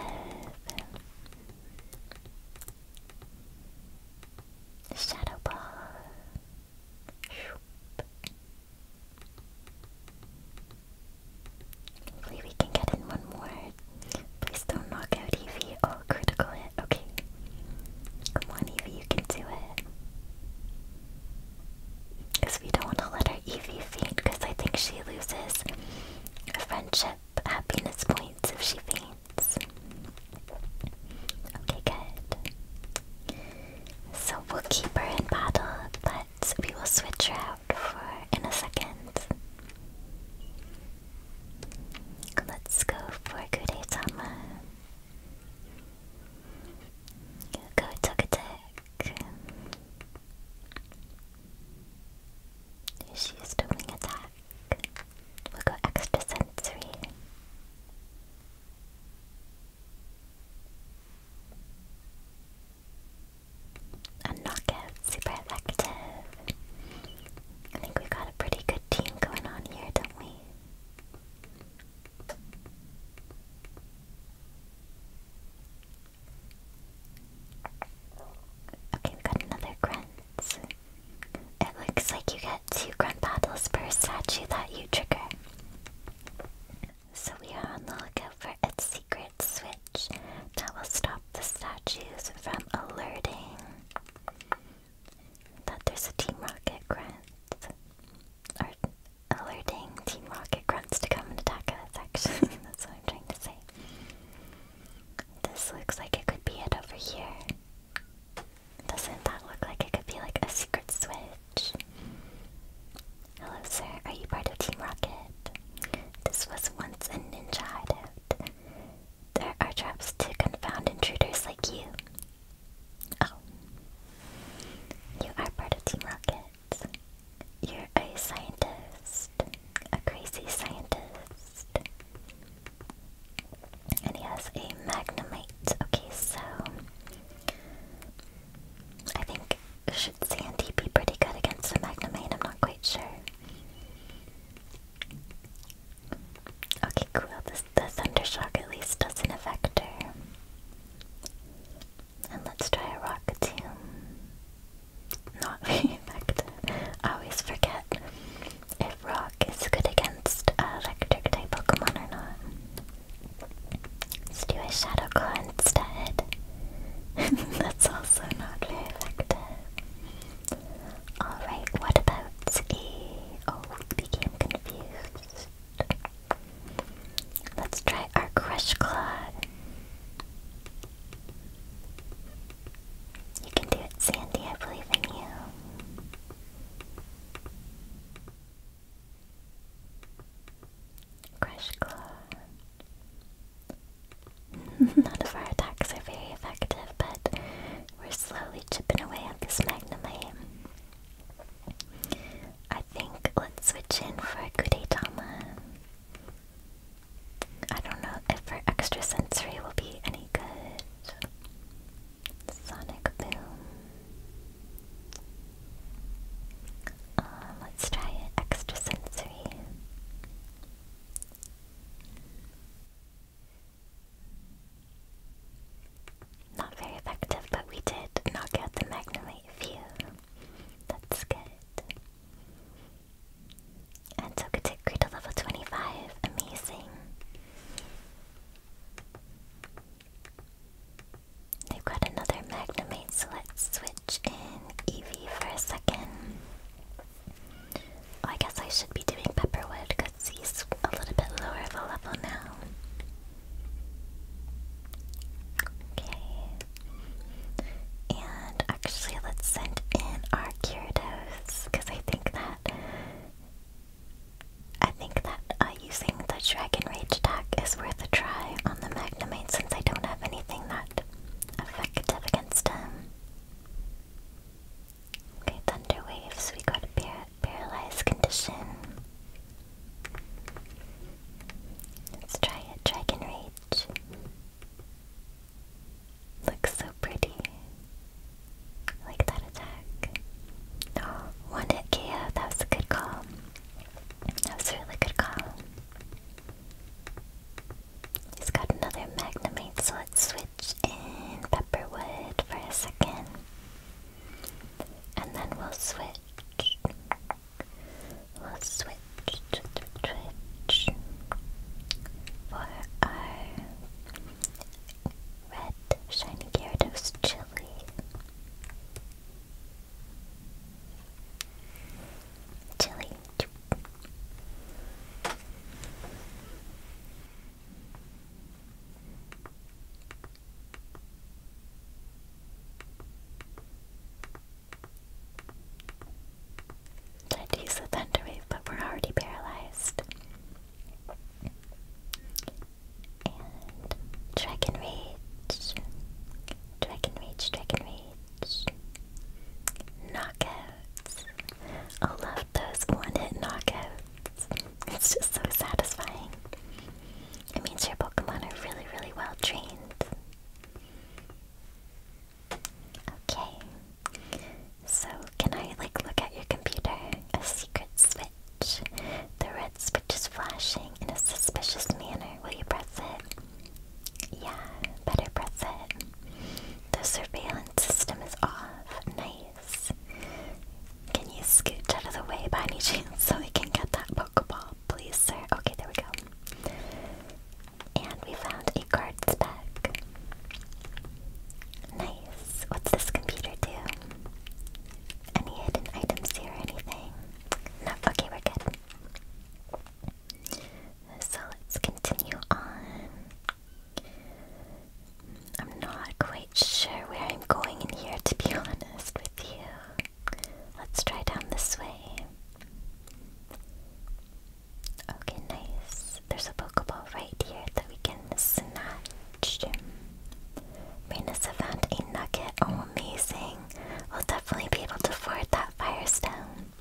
Shadow ball. Hopefully we can get in one more. Please don't knock out Eevee. Oh, critical hit. Okay. Come on, Eevee, you can do it. Because we don't want to let our Eevee faint, because I think she loses a friendship happiness points if she faints. Okay, good. So we'll keep her in battle, but we will switch her out for in a second. Let's go for Kuretama. Go attack She used a wing attack. We'll go extra sensory. A knockout, super effective. I think we got a pretty good team going on here, don't we? Okay, we got another grunt. It looks like you get two grunt battles per statue that you trigger. So we are on the lookout for a secret switch that will stop the statues from alerting that there's a Team Rocket grunt. Or alerting Team Rocket grunts to come and attack us, actually. That's what I'm trying to say. This looks like it could be it over here. Doesn't that look like it could be like a secret switch? Hello, sir. Are you part of Team Rocket? This was once a ninja hideout. There are traps to confound intruders like you. Oh. You are part of Team Rocket. You're a scientist. A crazy scientist. And he has a magnemite. Okay, so. I think. Should Sandy be pretty good against a magnemite? I'm not quite sure. Okay, cool. the thunder shock at least doesn't affect her. And let's try a rock too. Not very effective. I always forget if rock is good against electric type Pokemon or not. Let's do a Shadow Claw instead. That's also not very effective. Alright, what about a... Oh, we became confused. Let's try our Crush Claw. You can do it, Sandy. I believe in you. Crush Claw. None of our attacks are very effective, but we're slowly chipping away at this Magnemite. I think let's switch in for Kudetama. I don't know if her extra sensory will be any good. Sonic Boom. Um, let's try it extra sensory. Not very effective, but we did knock out the Magnemite few. That's good. And so could take Greed to level 25. Amazing. They've got another Magnemite, so let's switch in Eevee for a second. I guess I should be doing Pepperwood because he's a little bit lower of a level now. Okay. And actually, let's send in our Gyarados because I think that. I think that uh, using the Dragon Rage attack is worth a try on the Magnemite since I don't have anything that effective against him. Okay, thunder waves. We got a par paralyzed condition. Let's try it. Dragon Rage. Looks so pretty. like that attack. Oh, one hit KO. That was a good call. That was a really good call. He's got another Magnemite, so let's switch in Pepperwood for a second. And then we'll switch. We'll switch, switch, for our red shiny Gyarados chili. Chili. Tried to use the Thunder but we're already paralyzed. Dragon Rage. Dragon Rage, Dragon Rage. Knockouts. I love those one-hit knockouts. It's just so satisfying. It means your Pokemon are really, really well trained. Okay. So, can I, like, look at your computer? A secret switch. The red switch is flashing in a suspicious manner. Will you press it? Yeah, better press it. The surveillance system is off. Nice. Can you scoot out of the way by any chance so we can get that Pokeball, please, sir? Okay, there we go. And we found a cards bag. Nice. What's this computer do? Any hidden items here or anything? Not okay, we're good. So let's continue on. I'm not quite sure where I'm going in here, to be honest with you. Let's try down this way. Okay, nice. There's a Pokeball right here that we can snatch. Raina's found a nugget. Oh, amazing. We'll definitely be able to afford that Firestone.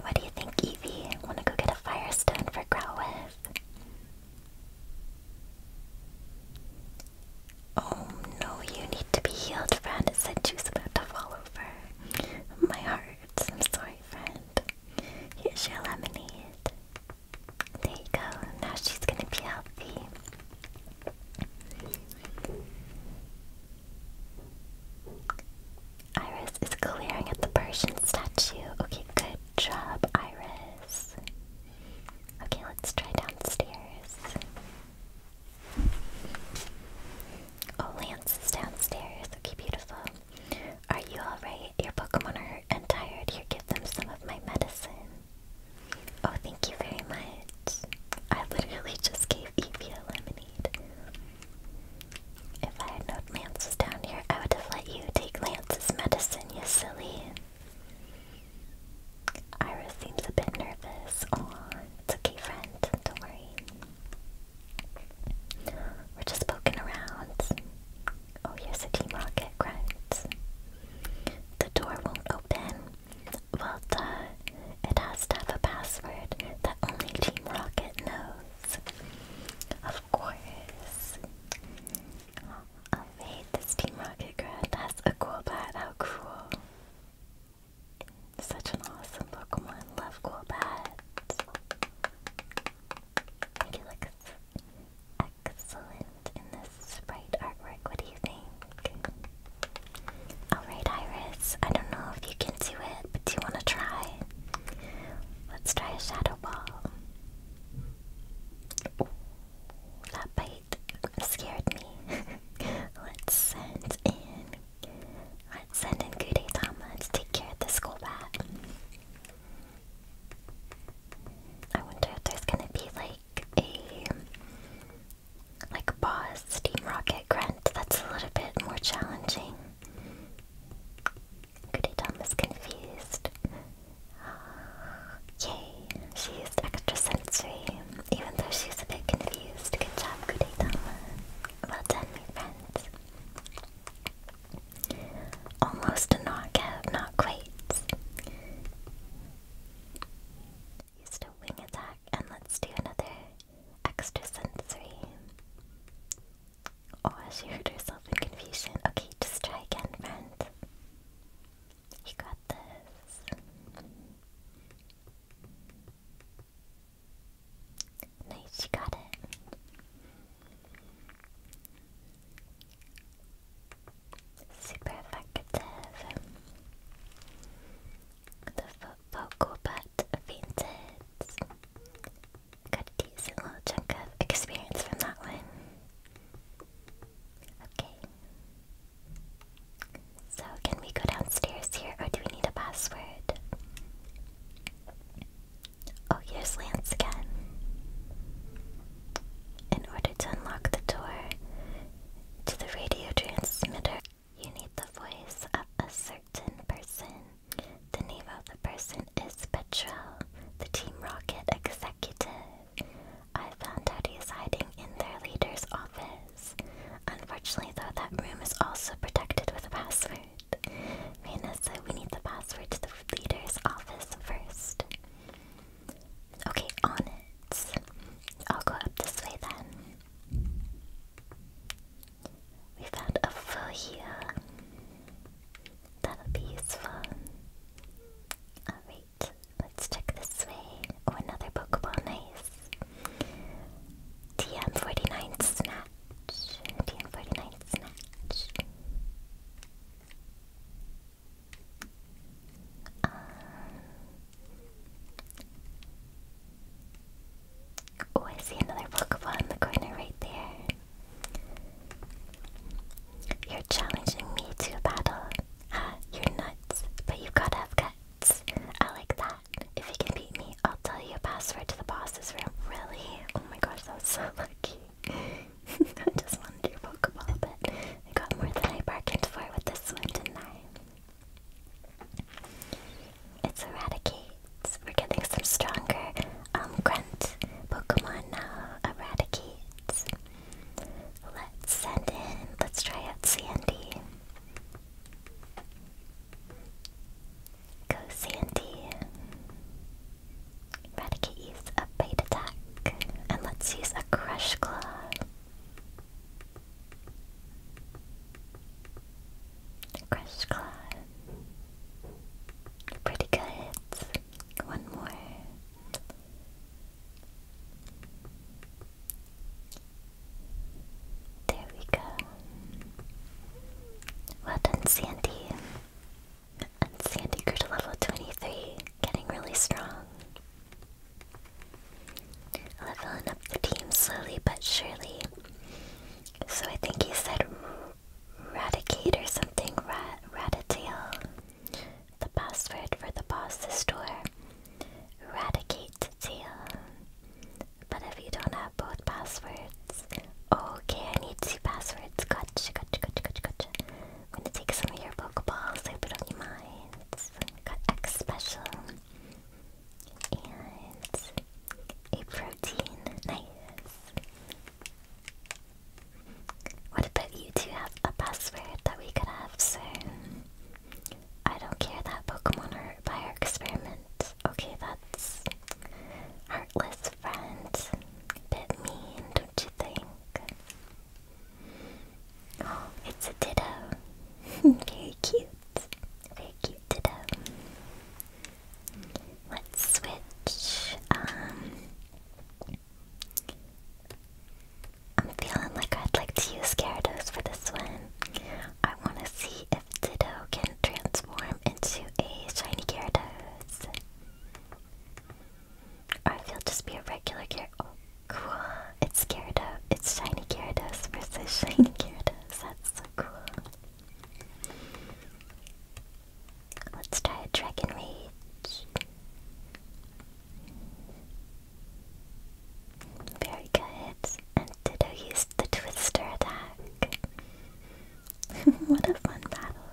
What do you think, Evie? Wanna go get a Firestone for Growlithe? Oh no, you need to be healed, friend. It said she was about to fall over. My heart. I'm sorry, friend. Here's your lemonade. There you go. Now she's gonna be healthy. Iris is glaring at the Persian statue. Okay, good job, Iris. Okay, let's try downstairs. Oh, Lance is downstairs. Okay, beautiful. Are you alright? Your Pokemon are hurt and tired. Here, give them some of my medicine. Oh, thank you very much. I literally just gave Evie a lemonade. If I had known Lance was down here, I would have let you take Lance's medicine, you silly. Ira seems a bit nervous. Aw, it's okay, friend. Don't worry. We're just poking around. Oh, here's Team Rocket grunt. The door won't open. Well, duh. It has to have a password that only Team Rocket knows. Of course. Alright, this Team Rocket Grunt has a cool bat. How cool. Such an awesome Pokemon. Love cool bat. It looks excellent in this sprite artwork. What do you think? Alright, Iris. I don't know if you can do it, but do you want to try? Let's try a Shadow Ball that bite scared me. Let's send in. Let's send in Gudetama to take care of the school bat. I wonder if there's gonna be like a like a boss steam rocket grunt that's a little bit more challenging. Pretty Tom is confused. Yay, she used extra sensory, even though she's a bit confused. Good job, Kudetama. Well done, my friends. Almost a knockout, not quite. Used a wing attack, and let's do another extra sensory. Oh, she hurt herself in confusion. Okay, just try again, friend. You got this. Nice, you got it. Super effective. The vocal butt fainted. Got a decent little chunk of experience from that one. Okay. So, can we go downstairs here, or do we need a password? Oh, here's Lance again. In order to unlock the door to the radio transmitter, you need the voice of a certain person. The name of the person is Petro, the Team Rocket executive. I found out he hiding in their leader's office. Unfortunately, though, that room is also protected with a password. Vanessa, said we need the password to the leader's office first. Okay, on it. I'll go up this way then. We found a here. That'll be useful. Alright, let's check this way. Oh, another Pokeball, nice. TM49 Snatch. TM49 Snatch. Um, oh, I see another Pokeball in the corner right there. You're challenging me to a battle. you're nuts, but you have gotta have guts. I like that. If you can beat me, I'll tell you a password to the boss's room. Really? Oh my gosh, that was so lucky. I just wanted your Pokeball, but I got more than I bargained for with this one, didn't I? It's Eradicate. We're getting some stronger um, Grunt Pokemon now uh, eradicates. Let's send in, let's try out Sandy. Go Sandy. Eradicate use a bite attack. And let's use a Crush Claw. Crush Claw. Pretty good. One more. There we go. Well done, Sandy. Sandy grew to level 23, getting really strong. Leveling up the team slowly but surely. So I think he said Radicate or something, Rat Ratatail. The password for the boss's door. Eradicate Tail. But if you don't have both passwords. Okay, I need two passwords. Gotcha, gotcha, gotcha, gotcha, gotcha. I'm gonna take some of your Pokeballs. I put on your minds. Got X special. And a protein. Nice. What about you two have a password that we could have soon? I don't care that Pokemon are by our experiment. Okay, that's heartless friend. Bit mean, don't you think? Oh, it's a ditto. Very cute. Very cute ditto. Let's switch. Um I'm feeling like I'd like to use Gyarados for this one. I want to see if Ditto can transform into a shiny Gyarados. I feel just be a regular Gyarados. Oh, cool. It's Gyarados. It's shiny Gyarados versus shiny Gyarados. That's so cool. Let's try a Dragon Rage. Very good. And Ditto used the Twister attack. what a fun battle.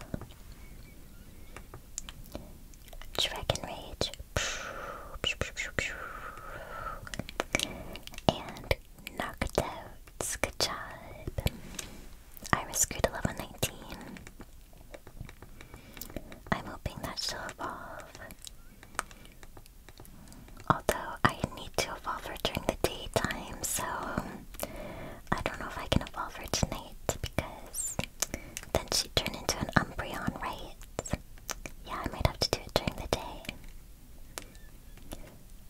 Dragon Rage. And knocked out. Good job. Iris grew to I'm hoping that she'll evolve. Although I need to evolve her during the daytime, so I don't know if I can evolve her tonight because then she'd turn into an Umbreon, right? Yeah, I might have to do it during the day.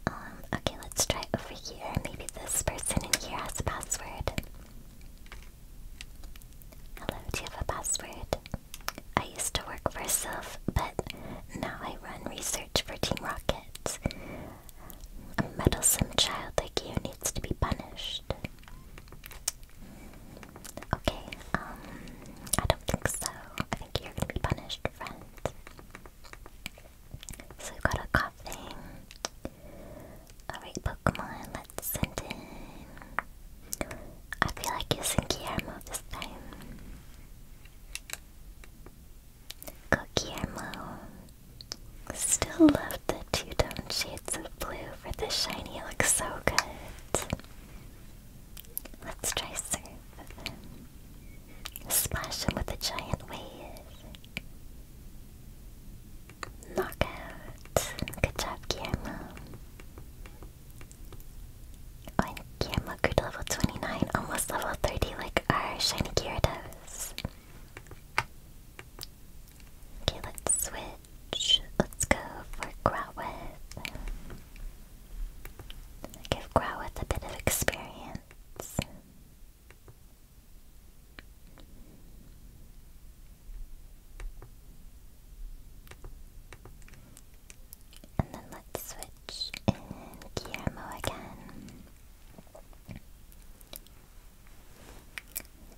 Um, okay, let's try over here. Maybe this person in here has a password. Hello, do you have a password? I used to work for Sylph, but now I run research for Team Rockets. A meddlesome child like you needs to be punished. Okay, um, I don't think so. I think you're gonna be punished, friend. So we got a coughing, a Pokemon. Let's send in. I feel like using Guillermo this time. Go Still love the two tone shades of blue for the shiny. Looks so good. Let's try surf. Splash him with a giant wave. Knockout. Good job, Guillermo. and Guillermo grew to level 29, almost level 30 like our shiny Gyarados. Okay, let's switch. Let's go for Growlithe. Give Growlithe a bit of experience. And then let's switch in Guillermo again.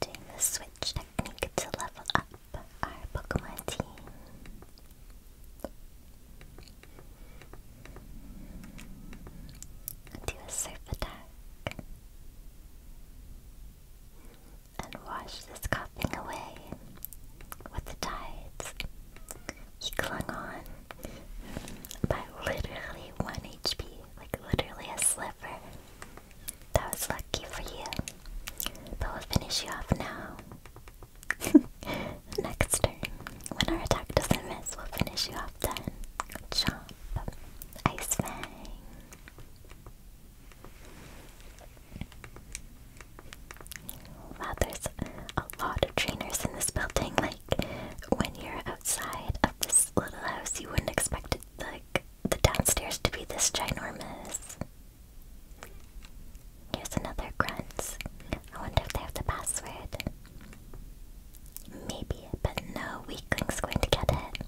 Doing the switch technique to level up our Pokemon team. Do a surf attack and wash this coughing away with the tides. He clung on by literally one HP, like literally a sliver. That was lucky for you. But we'll finish you off now. Next turn, when our attack doesn't miss, we'll finish you off then. Chomp. Ice Fang. Wow, there's a lot of trainers in this building. Like, when you're outside of this little house, you wouldn't expect it, like, the downstairs to be this ginormous. Here's another grunt. I wonder if they have the password. Maybe, but no weakling's going to get it.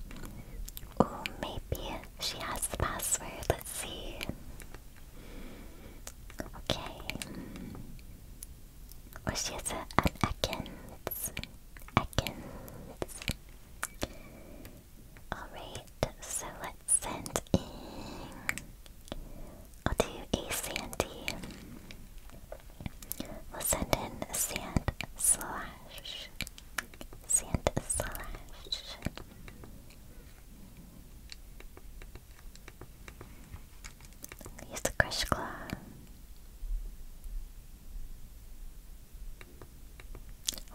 Oh, maybe she has the password. Let's see. Okay. Oh, she has an Ekans. Ekans. Alright, so let's send in. I'll do a Sandy. We'll send in Sand Slash. Sand Slash. Use the Crush Claw.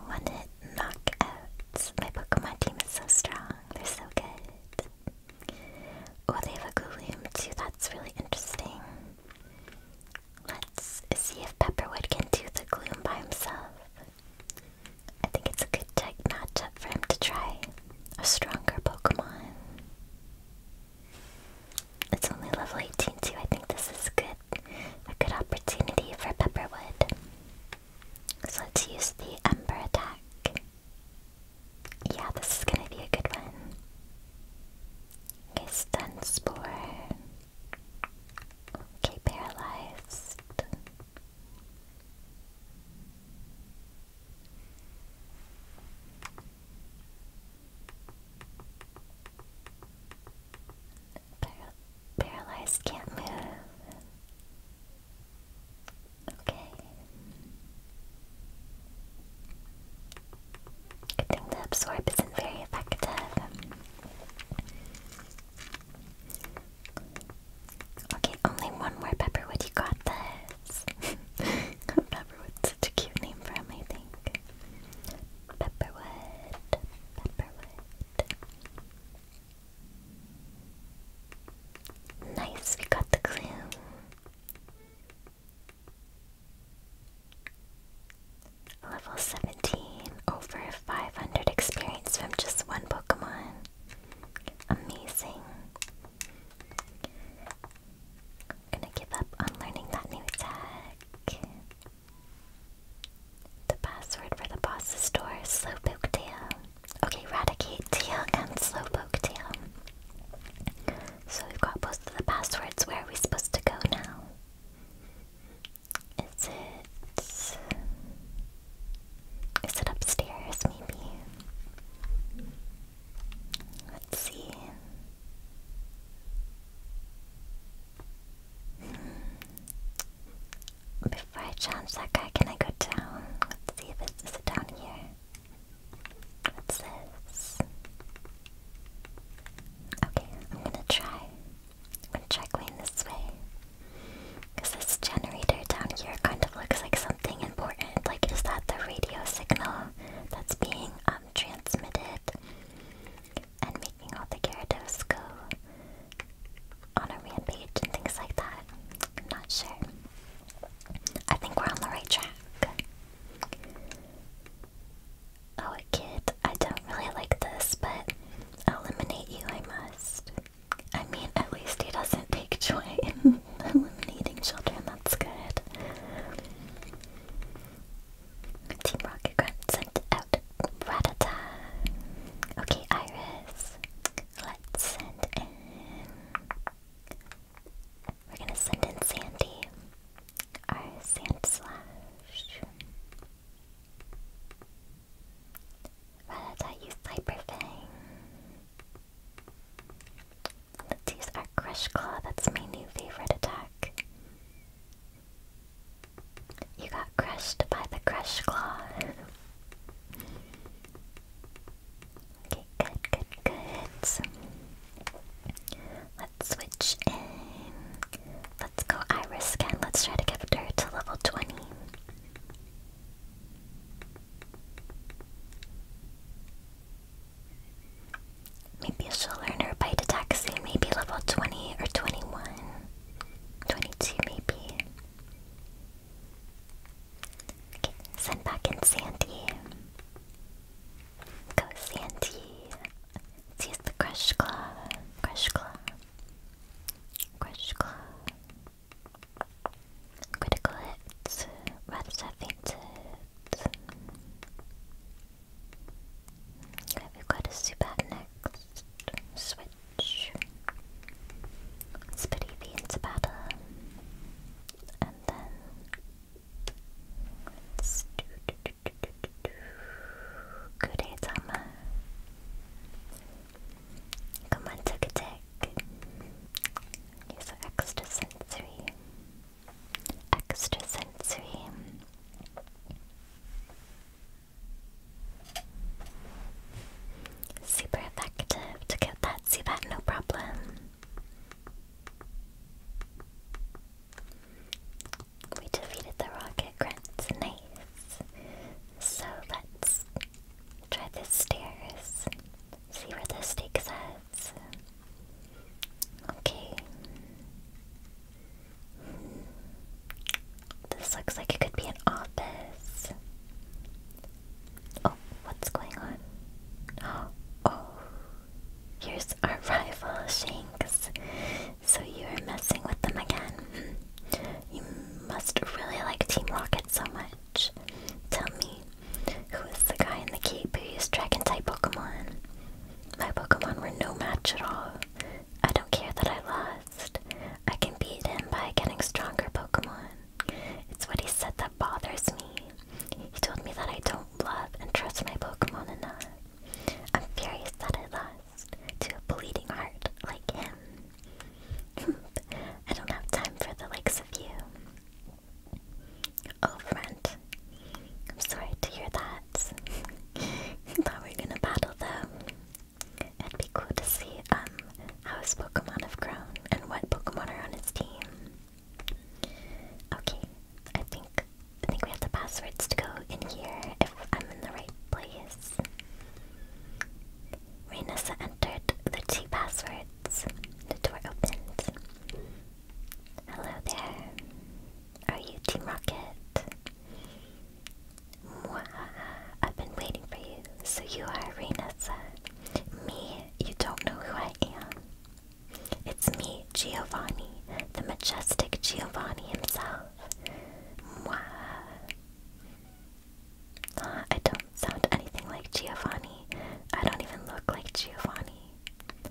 One hit knockouts. My Pokemon team is so strong. They're so good. Oh, they have a Gloom too. That's really interesting. Let's see if Pepperwood can do the gloom by himself. I think it's a good tech matchup for him to try a stronger Pokemon. It's only level 18 too. I think this is good, a good opportunity for Pepperwood. So let's use the Ember attack. Yeah, this is gonna be a good one. Okay, Stun Okay, paralyzed. paralyzed can't move. Okay. the absorb isn't very effective. Okay, only one more Pepperwood, you got this! Pepperwood's such a cute name for him, Pepperwood, Pepperwood. Nice, we got the clue. Level 17, over 500 experience from just one Pokemon. Amazing. I'm gonna give up on learning that new attack. The password for the boss's door is Slowpoke Tail. Okay, Radicate Tail and Slowpoke Tail. So we've got both of the passwords. Where are we supposed to go now? Is it... Is it upstairs, maybe? Let's see. Hmm. Before I challenge that guy, can I go down? Let's see if this down here. What's this? Okay, I'm gonna try. I'll try going this way. Because this generator down here kind of looks like something important. Like, is that the radio signal that's being um, transmitted and making all the Gyarados go on a rampage and things like that? I'm not sure. I think we're on the right track. Oh, kid. I don't really like this, but eliminate you I must. I mean, at least he doesn't take joy in eliminating children. That's good. Team Rocket sent out Ratata. Okay, Iris. Let's send in... We're gonna send in Sandy. Our Sand Slash. Rattata used Hyper Fang. Let's Crush Claw, that's my new favorite attack. You got crushed by the Crush Claw. okay, good, good, good. let's switch in Let's go Iris again. Let's try to get her to level 20. Maybe she'll learn her bite attack soon. Maybe level 20 or 21. maybe. Okay, send back in Sandy. Go Sandy. use the Crush Claw. Crush Claw. Crush Critical hits. Rats have fainted. we've got a Zubat next. Switch. Spitty and Zapata. And then. 그래자마 Come on, took a Use extra sensory. Extra Super effective. Took out that, see that, no problem. We defeated the rocket grunts. Nice. So let's try the stairs. See where this takes us. Okay. This looks like it could be an office. Oh, what's going on? Oh, oh. here's our rival Shanks. So you are messing with them again. Mm-hmm. You must really like Team Rocket so much. Tell me, who is the guy in the cape who used Dragon type Pokemon? My Pokemon were no match at all. I don't care that I lost. I can beat him by getting stronger Pokemon. It's what he said that bothers me. He told me that I don't love and trust my Pokemon enough. I'm furious that I lost to a bleeding heart like him. I don't have time for the likes of you. Oh, friend. I'm sorry to hear that. Thought we were gonna battle though. It'd be cool to see um how Pokemon have grown and what Pokemon are on his team. Okay, I think I think we have the passwords to go in here if I'm in the right place. Reynosa entered the two passwords. The door opened. Hello there. Are you Team Rocket? Mwahaha, I've been waiting for you. So you are Reynosa. Me, you don't know who I am. It's me, Giovanni, the majestic Giovanni himself. Mwahaha. I don't sound anything like Giovanni. I don't even look like Giovanni.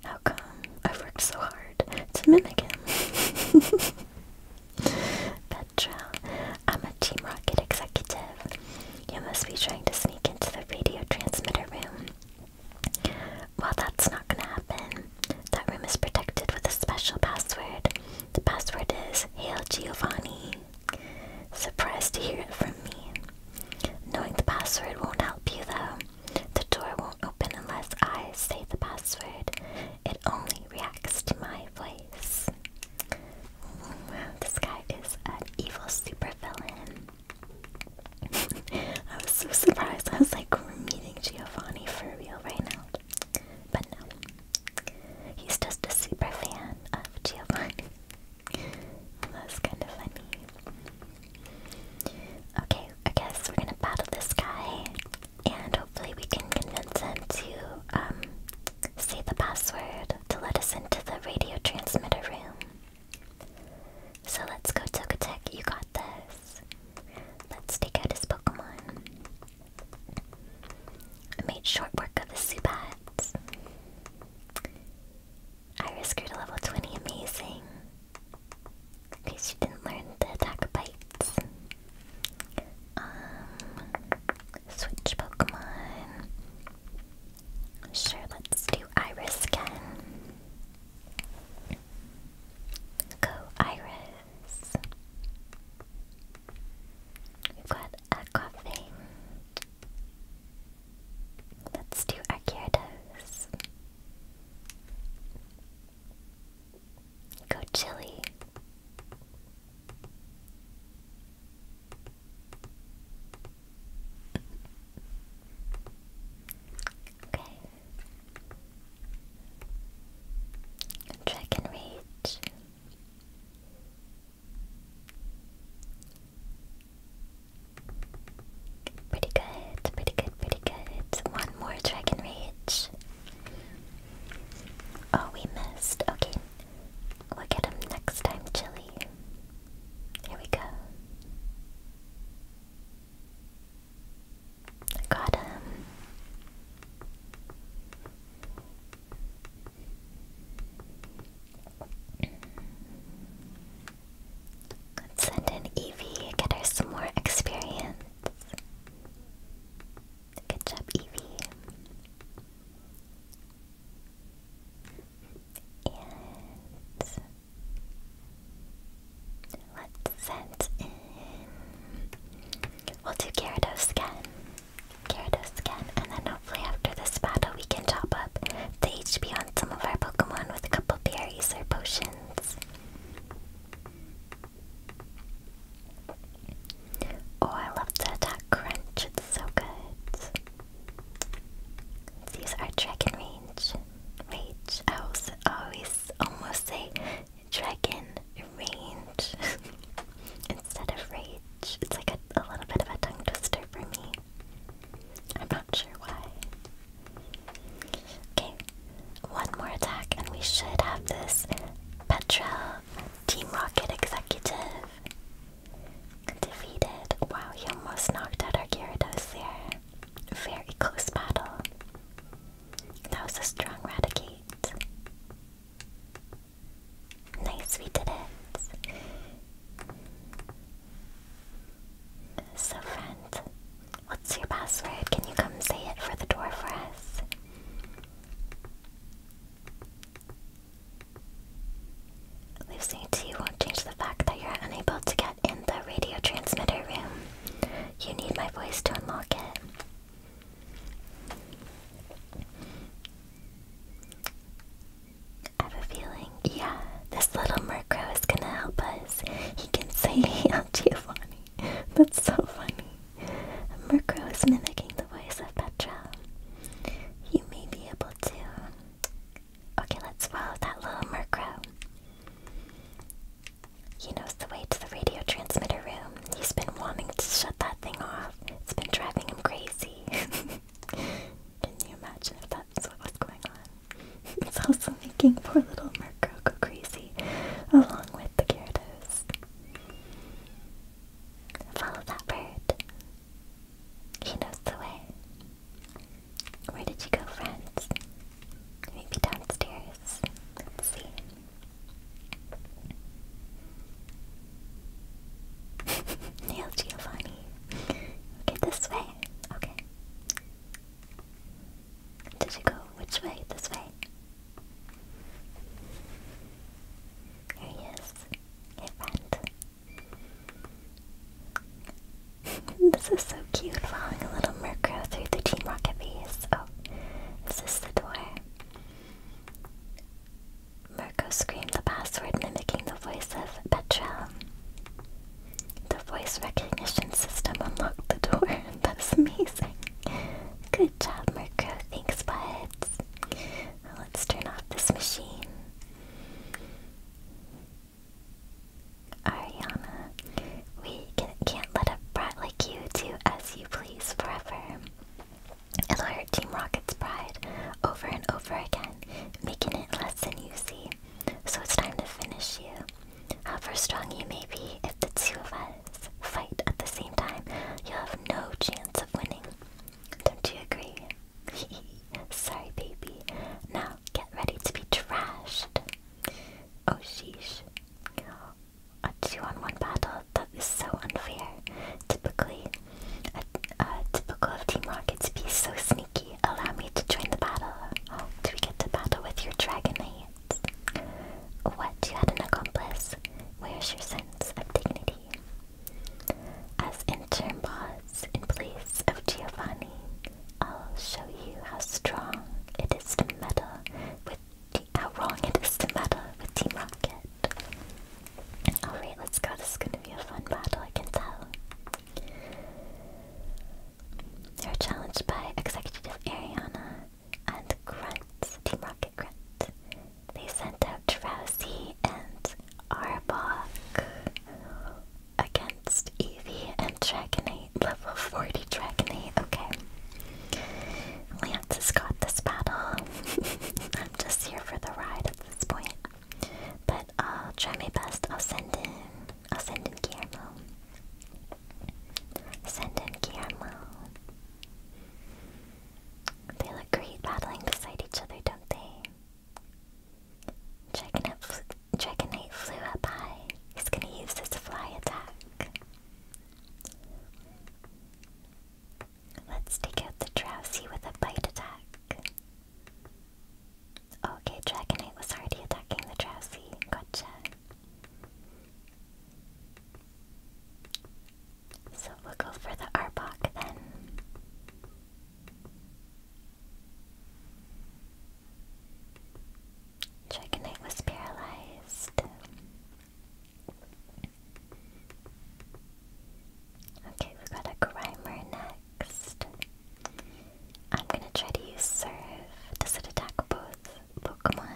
How come? I've worked so hard to mimic him. Petra, I'm a Team Rocket executive. You must be trying to sneak into the radio transmitter room. Well, that's not gonna happen. That room is protected with a special password. The password is Hail Giovanni. Surprised to hear it from me. Knowing the password won't help you though. The door won't open unless I say the password. It only reacts to my voice. Wow, this guy is an evil supervillain. I was so surprised. I was like, we're meeting Giovanni for real right now. But no. He's just a super fan of Giovanni. That's kind of funny. Okay, I guess we're gonna battle this guy, and hopefully we can convince him to um say the password to let us into the radio transmitter room. So let's go, Togetic. You got this. Let's take out his Pokemon. I made short work of the Subats. Iris grew to level 20, amazing. Because she didn't learn the attack bites. Um, switch Pokemon. Sure, let's do Iris again. Go Iris. We've got Aquafang. Let's do our Gyarados. Go Chili. Okay. Dragon Rage. Pretty good, pretty good, pretty good. One more Dragon Rage. Oh, we missed. Okay. We'll get him next time, Chili. Here we go. Got him. Let's send in Evie, get her some more experience. Good job, Evie. And let's send in We'll do Gyarados again. Gyarados again, and then hopefully after this battle we can top up the HP on some of our Pokemon with a couple berries or potions. Oh, I love the attack crunch, it's so good. These are use our dragon range. Rage. I also always almost say dragon range instead of rage. It's like a, little bit of a tongue twister for me. I'm not sure why. Okay, one more attack, and we should have this Petra Team Rocket Executive defeated. Wow, he almost knocked out our Gyarados there. Very close battle. That was a strong Raticate. Nice, we did it. So, friend, what's your password? Can you come say it for the door for us? Losing 2 won't change the fact that you're unable to get in the radio transmitter room. You need my voice to unlock it. I have a feeling, yeah, this little Murkrow is gonna help us. He can say El That's so funny. Murkrow is mimicking the voice of Petra. You may be able to. Okay, let's follow that little Murkrow. He knows the way to the radio transmitter room. He's been wanting to shut that thing off. It's been driving him crazy. Can you imagine if that's what was going on? it's also making poor little Murkrow go crazy, along with the Gyarados. Follow that bird. He knows the way. Where did you go, friends? Maybe downstairs. Let's see. Nailed you, Bonnie. Get this way. Okay. Did you go which way? This way. There he is. Your friend. this is so cute, following a little Murkrow through the Team Rocket base. Oh, is this the door? Marco screamed the password mimicking the voice of Petra. The voice recognition system unlocked the door. That's amazing. Good job, Marco. Thanks, buds. let's turn off this machine. Ariana, we can't let a brat like you do as you please forever. Allure Team Rocket's pride over and over again, making it less than you see. So it's time to finish you. However strong you may be, if the two of us fight at the same time, you'll have no chance of winning. Don't you agree? Sorry, baby. Now get ready to be trashed. Oh sheesh. A two on one battle that is so unfair. Typically, a, typical of Team Rocket to be so sneaky. Allow me to join the battle. Oh, do we get to battle with your dragon knight? What? You had an accomplice? Where's your sense of dignity? As interim boss in place of Giovanni, I'll show you how strong it is to meddle with how wrong it is to meddle with Team Rocket. Alright, let's go. This is gonna be a fun battle, I can tell. They're challenged by Executive Ariana and Grunt, Team Rocket Grunt. They sent out Drowsy and Arbok against Eevee and Dragonite, level 40 Dragonite, okay. Lance has got this battle. I'm just here for the ride this point. But I'll try my best. I'll send in I'll send in Guillermo. Send in Guillermo. They look great battling beside each other, don't they? Dragonite, Dragonite flew up high. He's gonna use his fly attack. Let's take out the drowsy with a bite attack. Okay, Dragonite was already attacking the drowsy. Gotcha. So we'll go for the Arbok then. Dragonite was paralyzed. Okay, we've got a Grimer next. I'm gonna try to use Serve. Does it attack both Pokemon?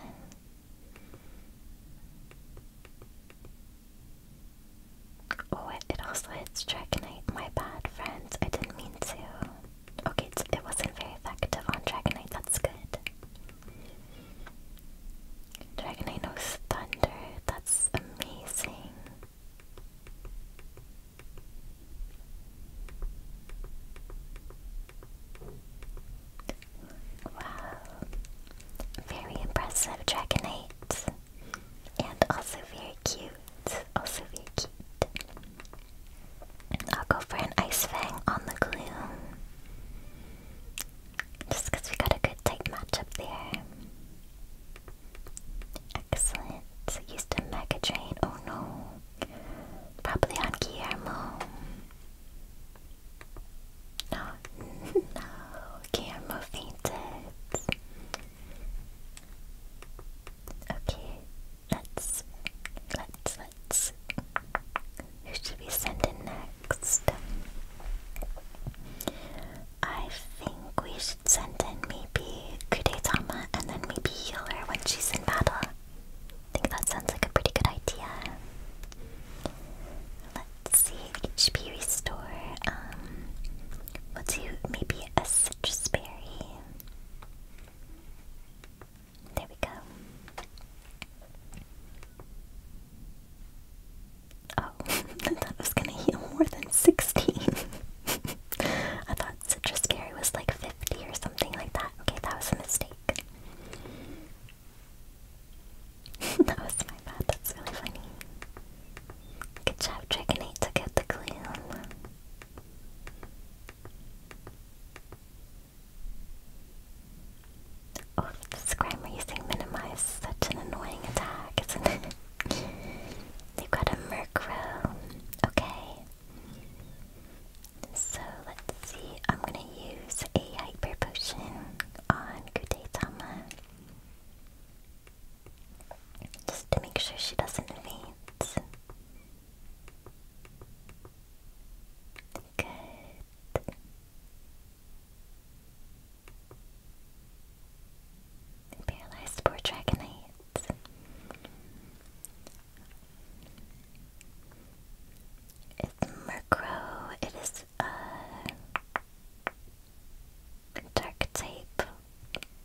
Oh, it, also hits Dragonite. My bad, friends. I didn't mean to. Okay, it wasn't very effective on Dragonite. That's good. Dragonite knows Thunder. It's amazing. Wow. Very impressive Dragonite. And also very cute. Also very cute. I'll go for an Ice on the Gloom. Just because we got a good tight match up there. Excellent. used a Mega Drain. Oh no. Probably on Guillermo. No, no. Guillermo fainted. Okay. Let's, let's, let's. Who should we send in next? I think we should send in maybe Kudetama and then maybe heal her when she's in battle. I think that sounds like a pretty good idea. Let's see, HP restore. Um, we'll do maybe a citrus berry. There we go. Oh, I thought I was gonna heal more than 16. I thought Citrus Berry was like 50 or something like that. Okay, that was a mistake. that was my bad, that's really funny. Good job, Dragonite took out the gloom. Oh, this Grimer using such an annoying attack, isn't it? They've got a Murkrow. Okay. So let's see. I'm gonna use a Hyper Potion on Tama Just to make sure she doesn't faint. Good. Paralyzed poor Dragonite. It's Murkrow. It is a dark type.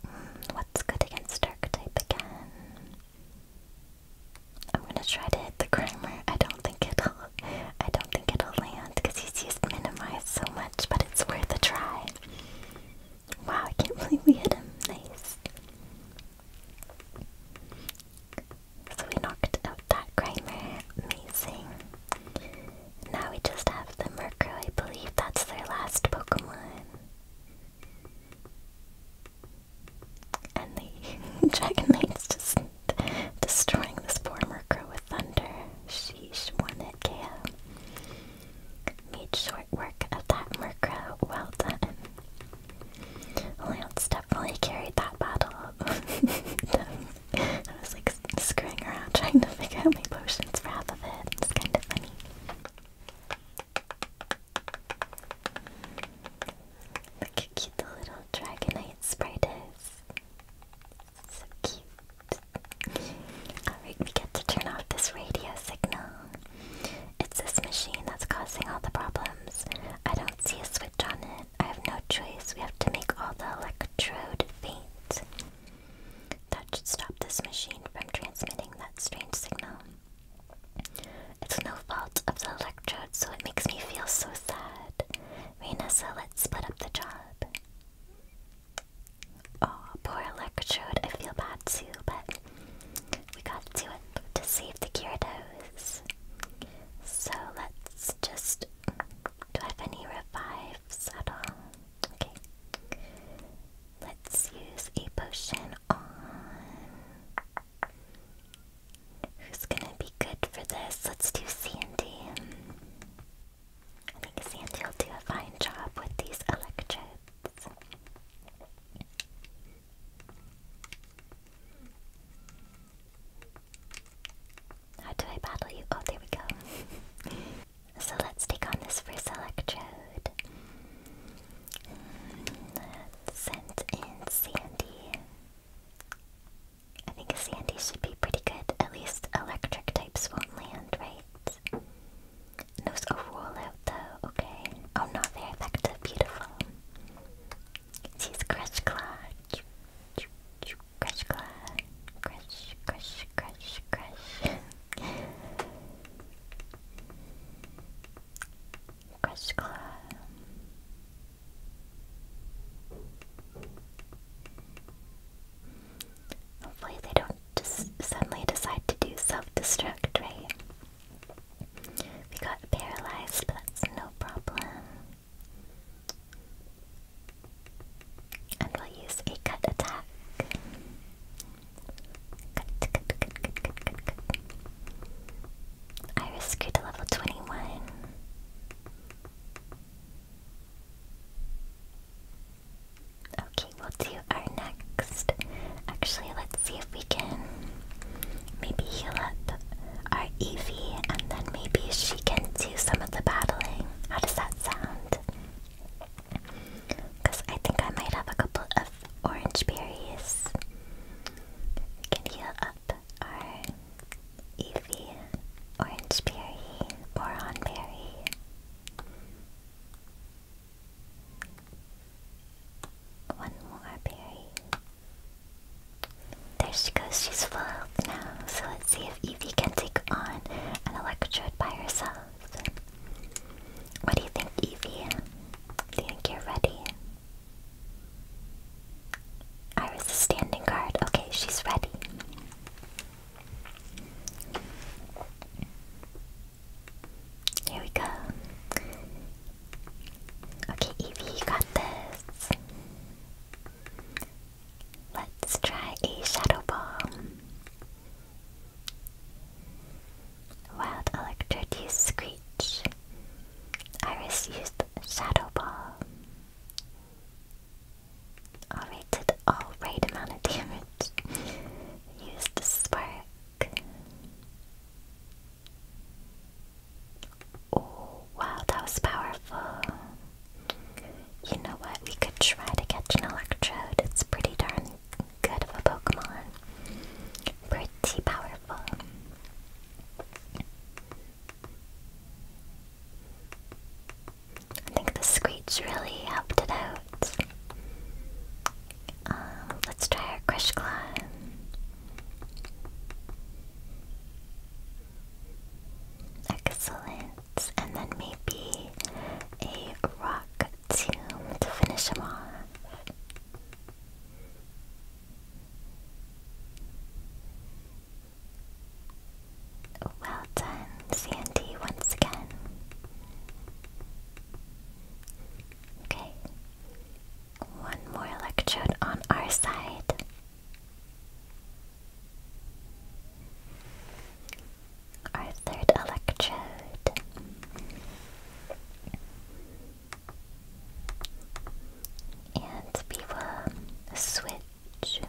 Mm, what's good against dark type again? I'm gonna try to hit the grimer. I don't think it'll I don't think it'll land because he's just minimized so much, but it's worth a try. Wow, I can't believe we hit him. Nice. So we knocked out that Grimer. Amazing. Now we just have the Murkrow. I believe that's their last Pokemon. And the Dragonite's just destroying this poor Murkrow with thunder. She's one that can. Made short work of that Murkrow, well done. Lance definitely carried that battle. I was like screwing around trying to figure out my potions for half of it. It's kind of funny. Look how cute the little dragonite sprite is. So cute. Alright, we get to turn off this radio signal. It's this machine that's causing all the problems. I don't see a switch on it. I have no choice. We have to make all the electrode faint. That should stop this machine from transmitting that strange signal. It's no fault of the electrode, so it makes me feel so sad. Reina, so let's split up the job. Oh, poor Electrode. I feel bad too, but we got to do it to save the Gyarados. So let's just. Do I have any revives at all? Okay. Let's use a potion on. Who's gonna be good for this? Let's do C and D. I think Sandy will do a fine job with these electrodes. How do I battle you? Oh, there we go. so let's take on this first electrode. Let's Sandy. I think Sandy should be pretty good. At least electric types won't land, right? right. Those go roll out though, okay? Oh no, they're effective, beautiful. She's Crush Claw. Crush Claw. Crush, crush, crush, crush. crush Claw. Hopefully they don't just suddenly decide to do self-destruct, right? We got paralyzed, but that's no problem. And we'll use a cut attack. Cut, cut, cut, cut, cut, cut, cut. Iris grew to level 21. Okay, we'll do our next. Actually, let's see if we can maybe heal up our Evie, and then maybe she can do some of the battling. How does that sound? Because I think I might have a couple of orange berries. can heal up our Evie, orange berry, moron berry. One more berry. There she goes, she's full now. So let's see if Evie can take on an Electrode by herself. What do you think, Evie? Do you think you're ready? Iris is standing guard. Okay, she's ready. Here we go. Okay, Evie, you got this. Let's try a shadow bomb. Wild Electrode Screech. Iris used Shadow Ball. Alright, did all right amount of damage. Use spark. Oh wow, that was powerful. You know what? We could try to catch an electrode. It's pretty darn good of a Pokemon. Pretty powerful. I think the screech really helped it out. Um, let's try our Crush Climb. Excellent. And then maybe a rock to finish him off. Well done, Sandy, once again. Okay. One more electrode on our side. Our third electrode. And we will switch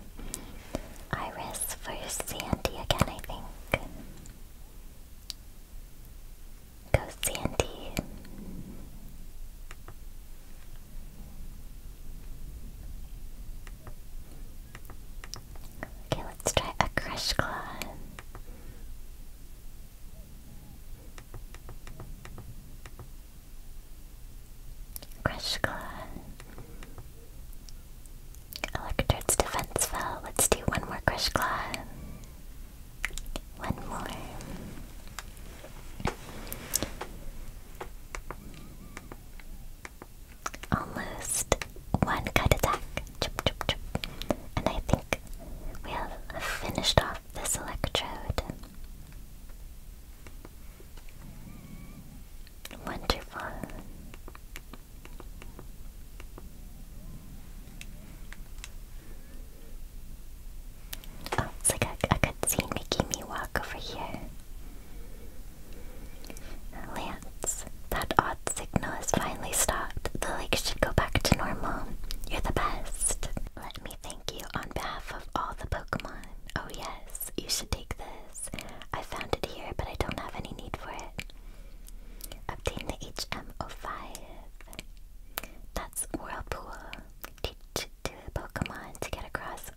Iris for Sandy again, I think. Go Sandy. Okay, let's try a crush claw. Crush claw. Electrode's defense fell. Let's do one more Crush Claw. One more. Almost one cut attack. And I think we have finished off this electrode. Wonderful. Oh, it's like a, a cutscene making walk over here. Lance, that odd signal has finally stopped. The lake should go back to normal. You're the best. Let me thank you on behalf of all the Pokemon. Oh yes, you should take this. I found it here, but I don't have any need for it. Obtain the HM05. That's Whirlpool. Teach to a Pokemon to get across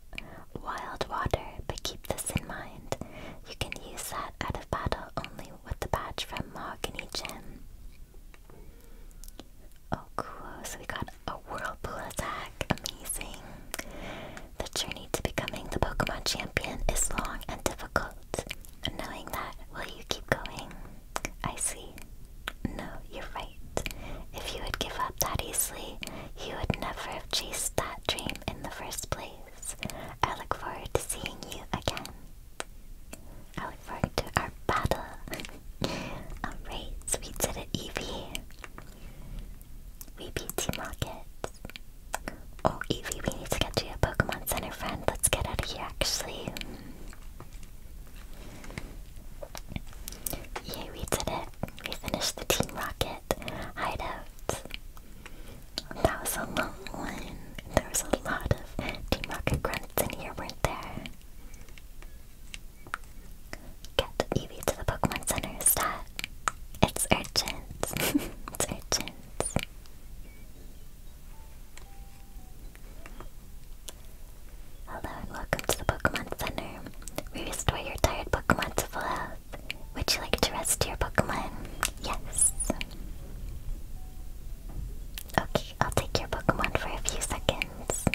wild water, but keep this in mind. You can use that out of battle only with the badge from Mahogany Gym. Oh cool, so we got a Whirlpool attack. Amazing. The journey to becoming the Pokemon champion is long and difficult, Knowing that, will you keep going? I see. No, you're right. If you would give up that easily, you would never have chased that dream in the first place. I look forward to seeing you again. I look forward to our battle. Alright, so we did it, Eevee. We beat Team Rocket. Oh, Evie, we need to get to your Pokemon Center friend. Let's get out of here, actually. Yay, we did it. We finished the Team Rocket hideout. That was a long one. There was a lot of Team Rocket grunts in here, weren't there? Get Evie to the Pokemon Center, stat. It's urgent. it's urgent. Hello and welcome to the Pokemon Center. We restore your tired Pokemon to full health. Would you like to rest your Pokemon? Yes. Okay, I'll take your Pokemon for a few seconds.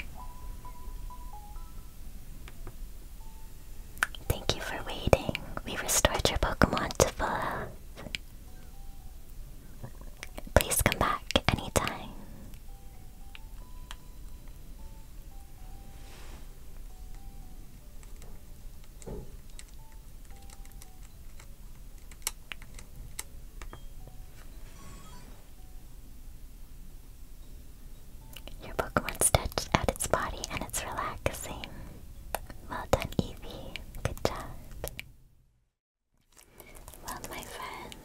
Thank you for waiting. We restored your Pokemon to full health. Please come back anytime. Your Pokemon's touched at its body and it's relaxing. Well done, Evie. Good job. Well, my friend,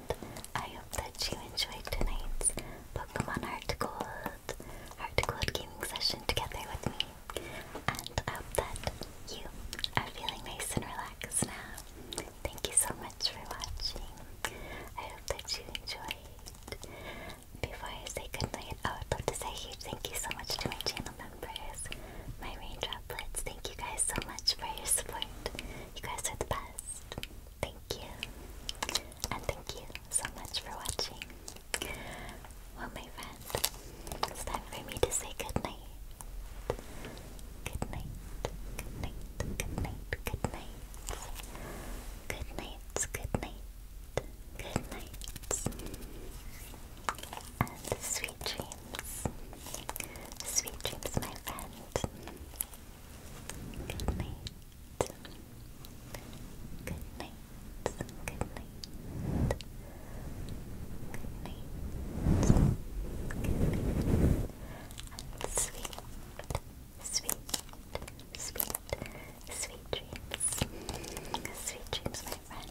I hope that you enjoyed tonight's Pokemon Heart Gold, Heart Gold gaming session together with me. And I hope that you are feeling nice and relaxed now. Thank you so much for watching. I hope that you enjoyed. Before I say goodnight, I would love to say a huge thank you so much to my channel members, my rain droplets. Thank you guys so much for your support. You guys are the best. Thank you. And thank you so much for watching. Well, my friend, it's time for me to say Good night. Good night. Good night. Good night. Good night. Good night. Good night. And sweet dreams. Sweet dreams, my friend. Good night. Good night. Good night. Good night. And sweet, sweet, sweet, sweet dreams. Sweet dreams, my friend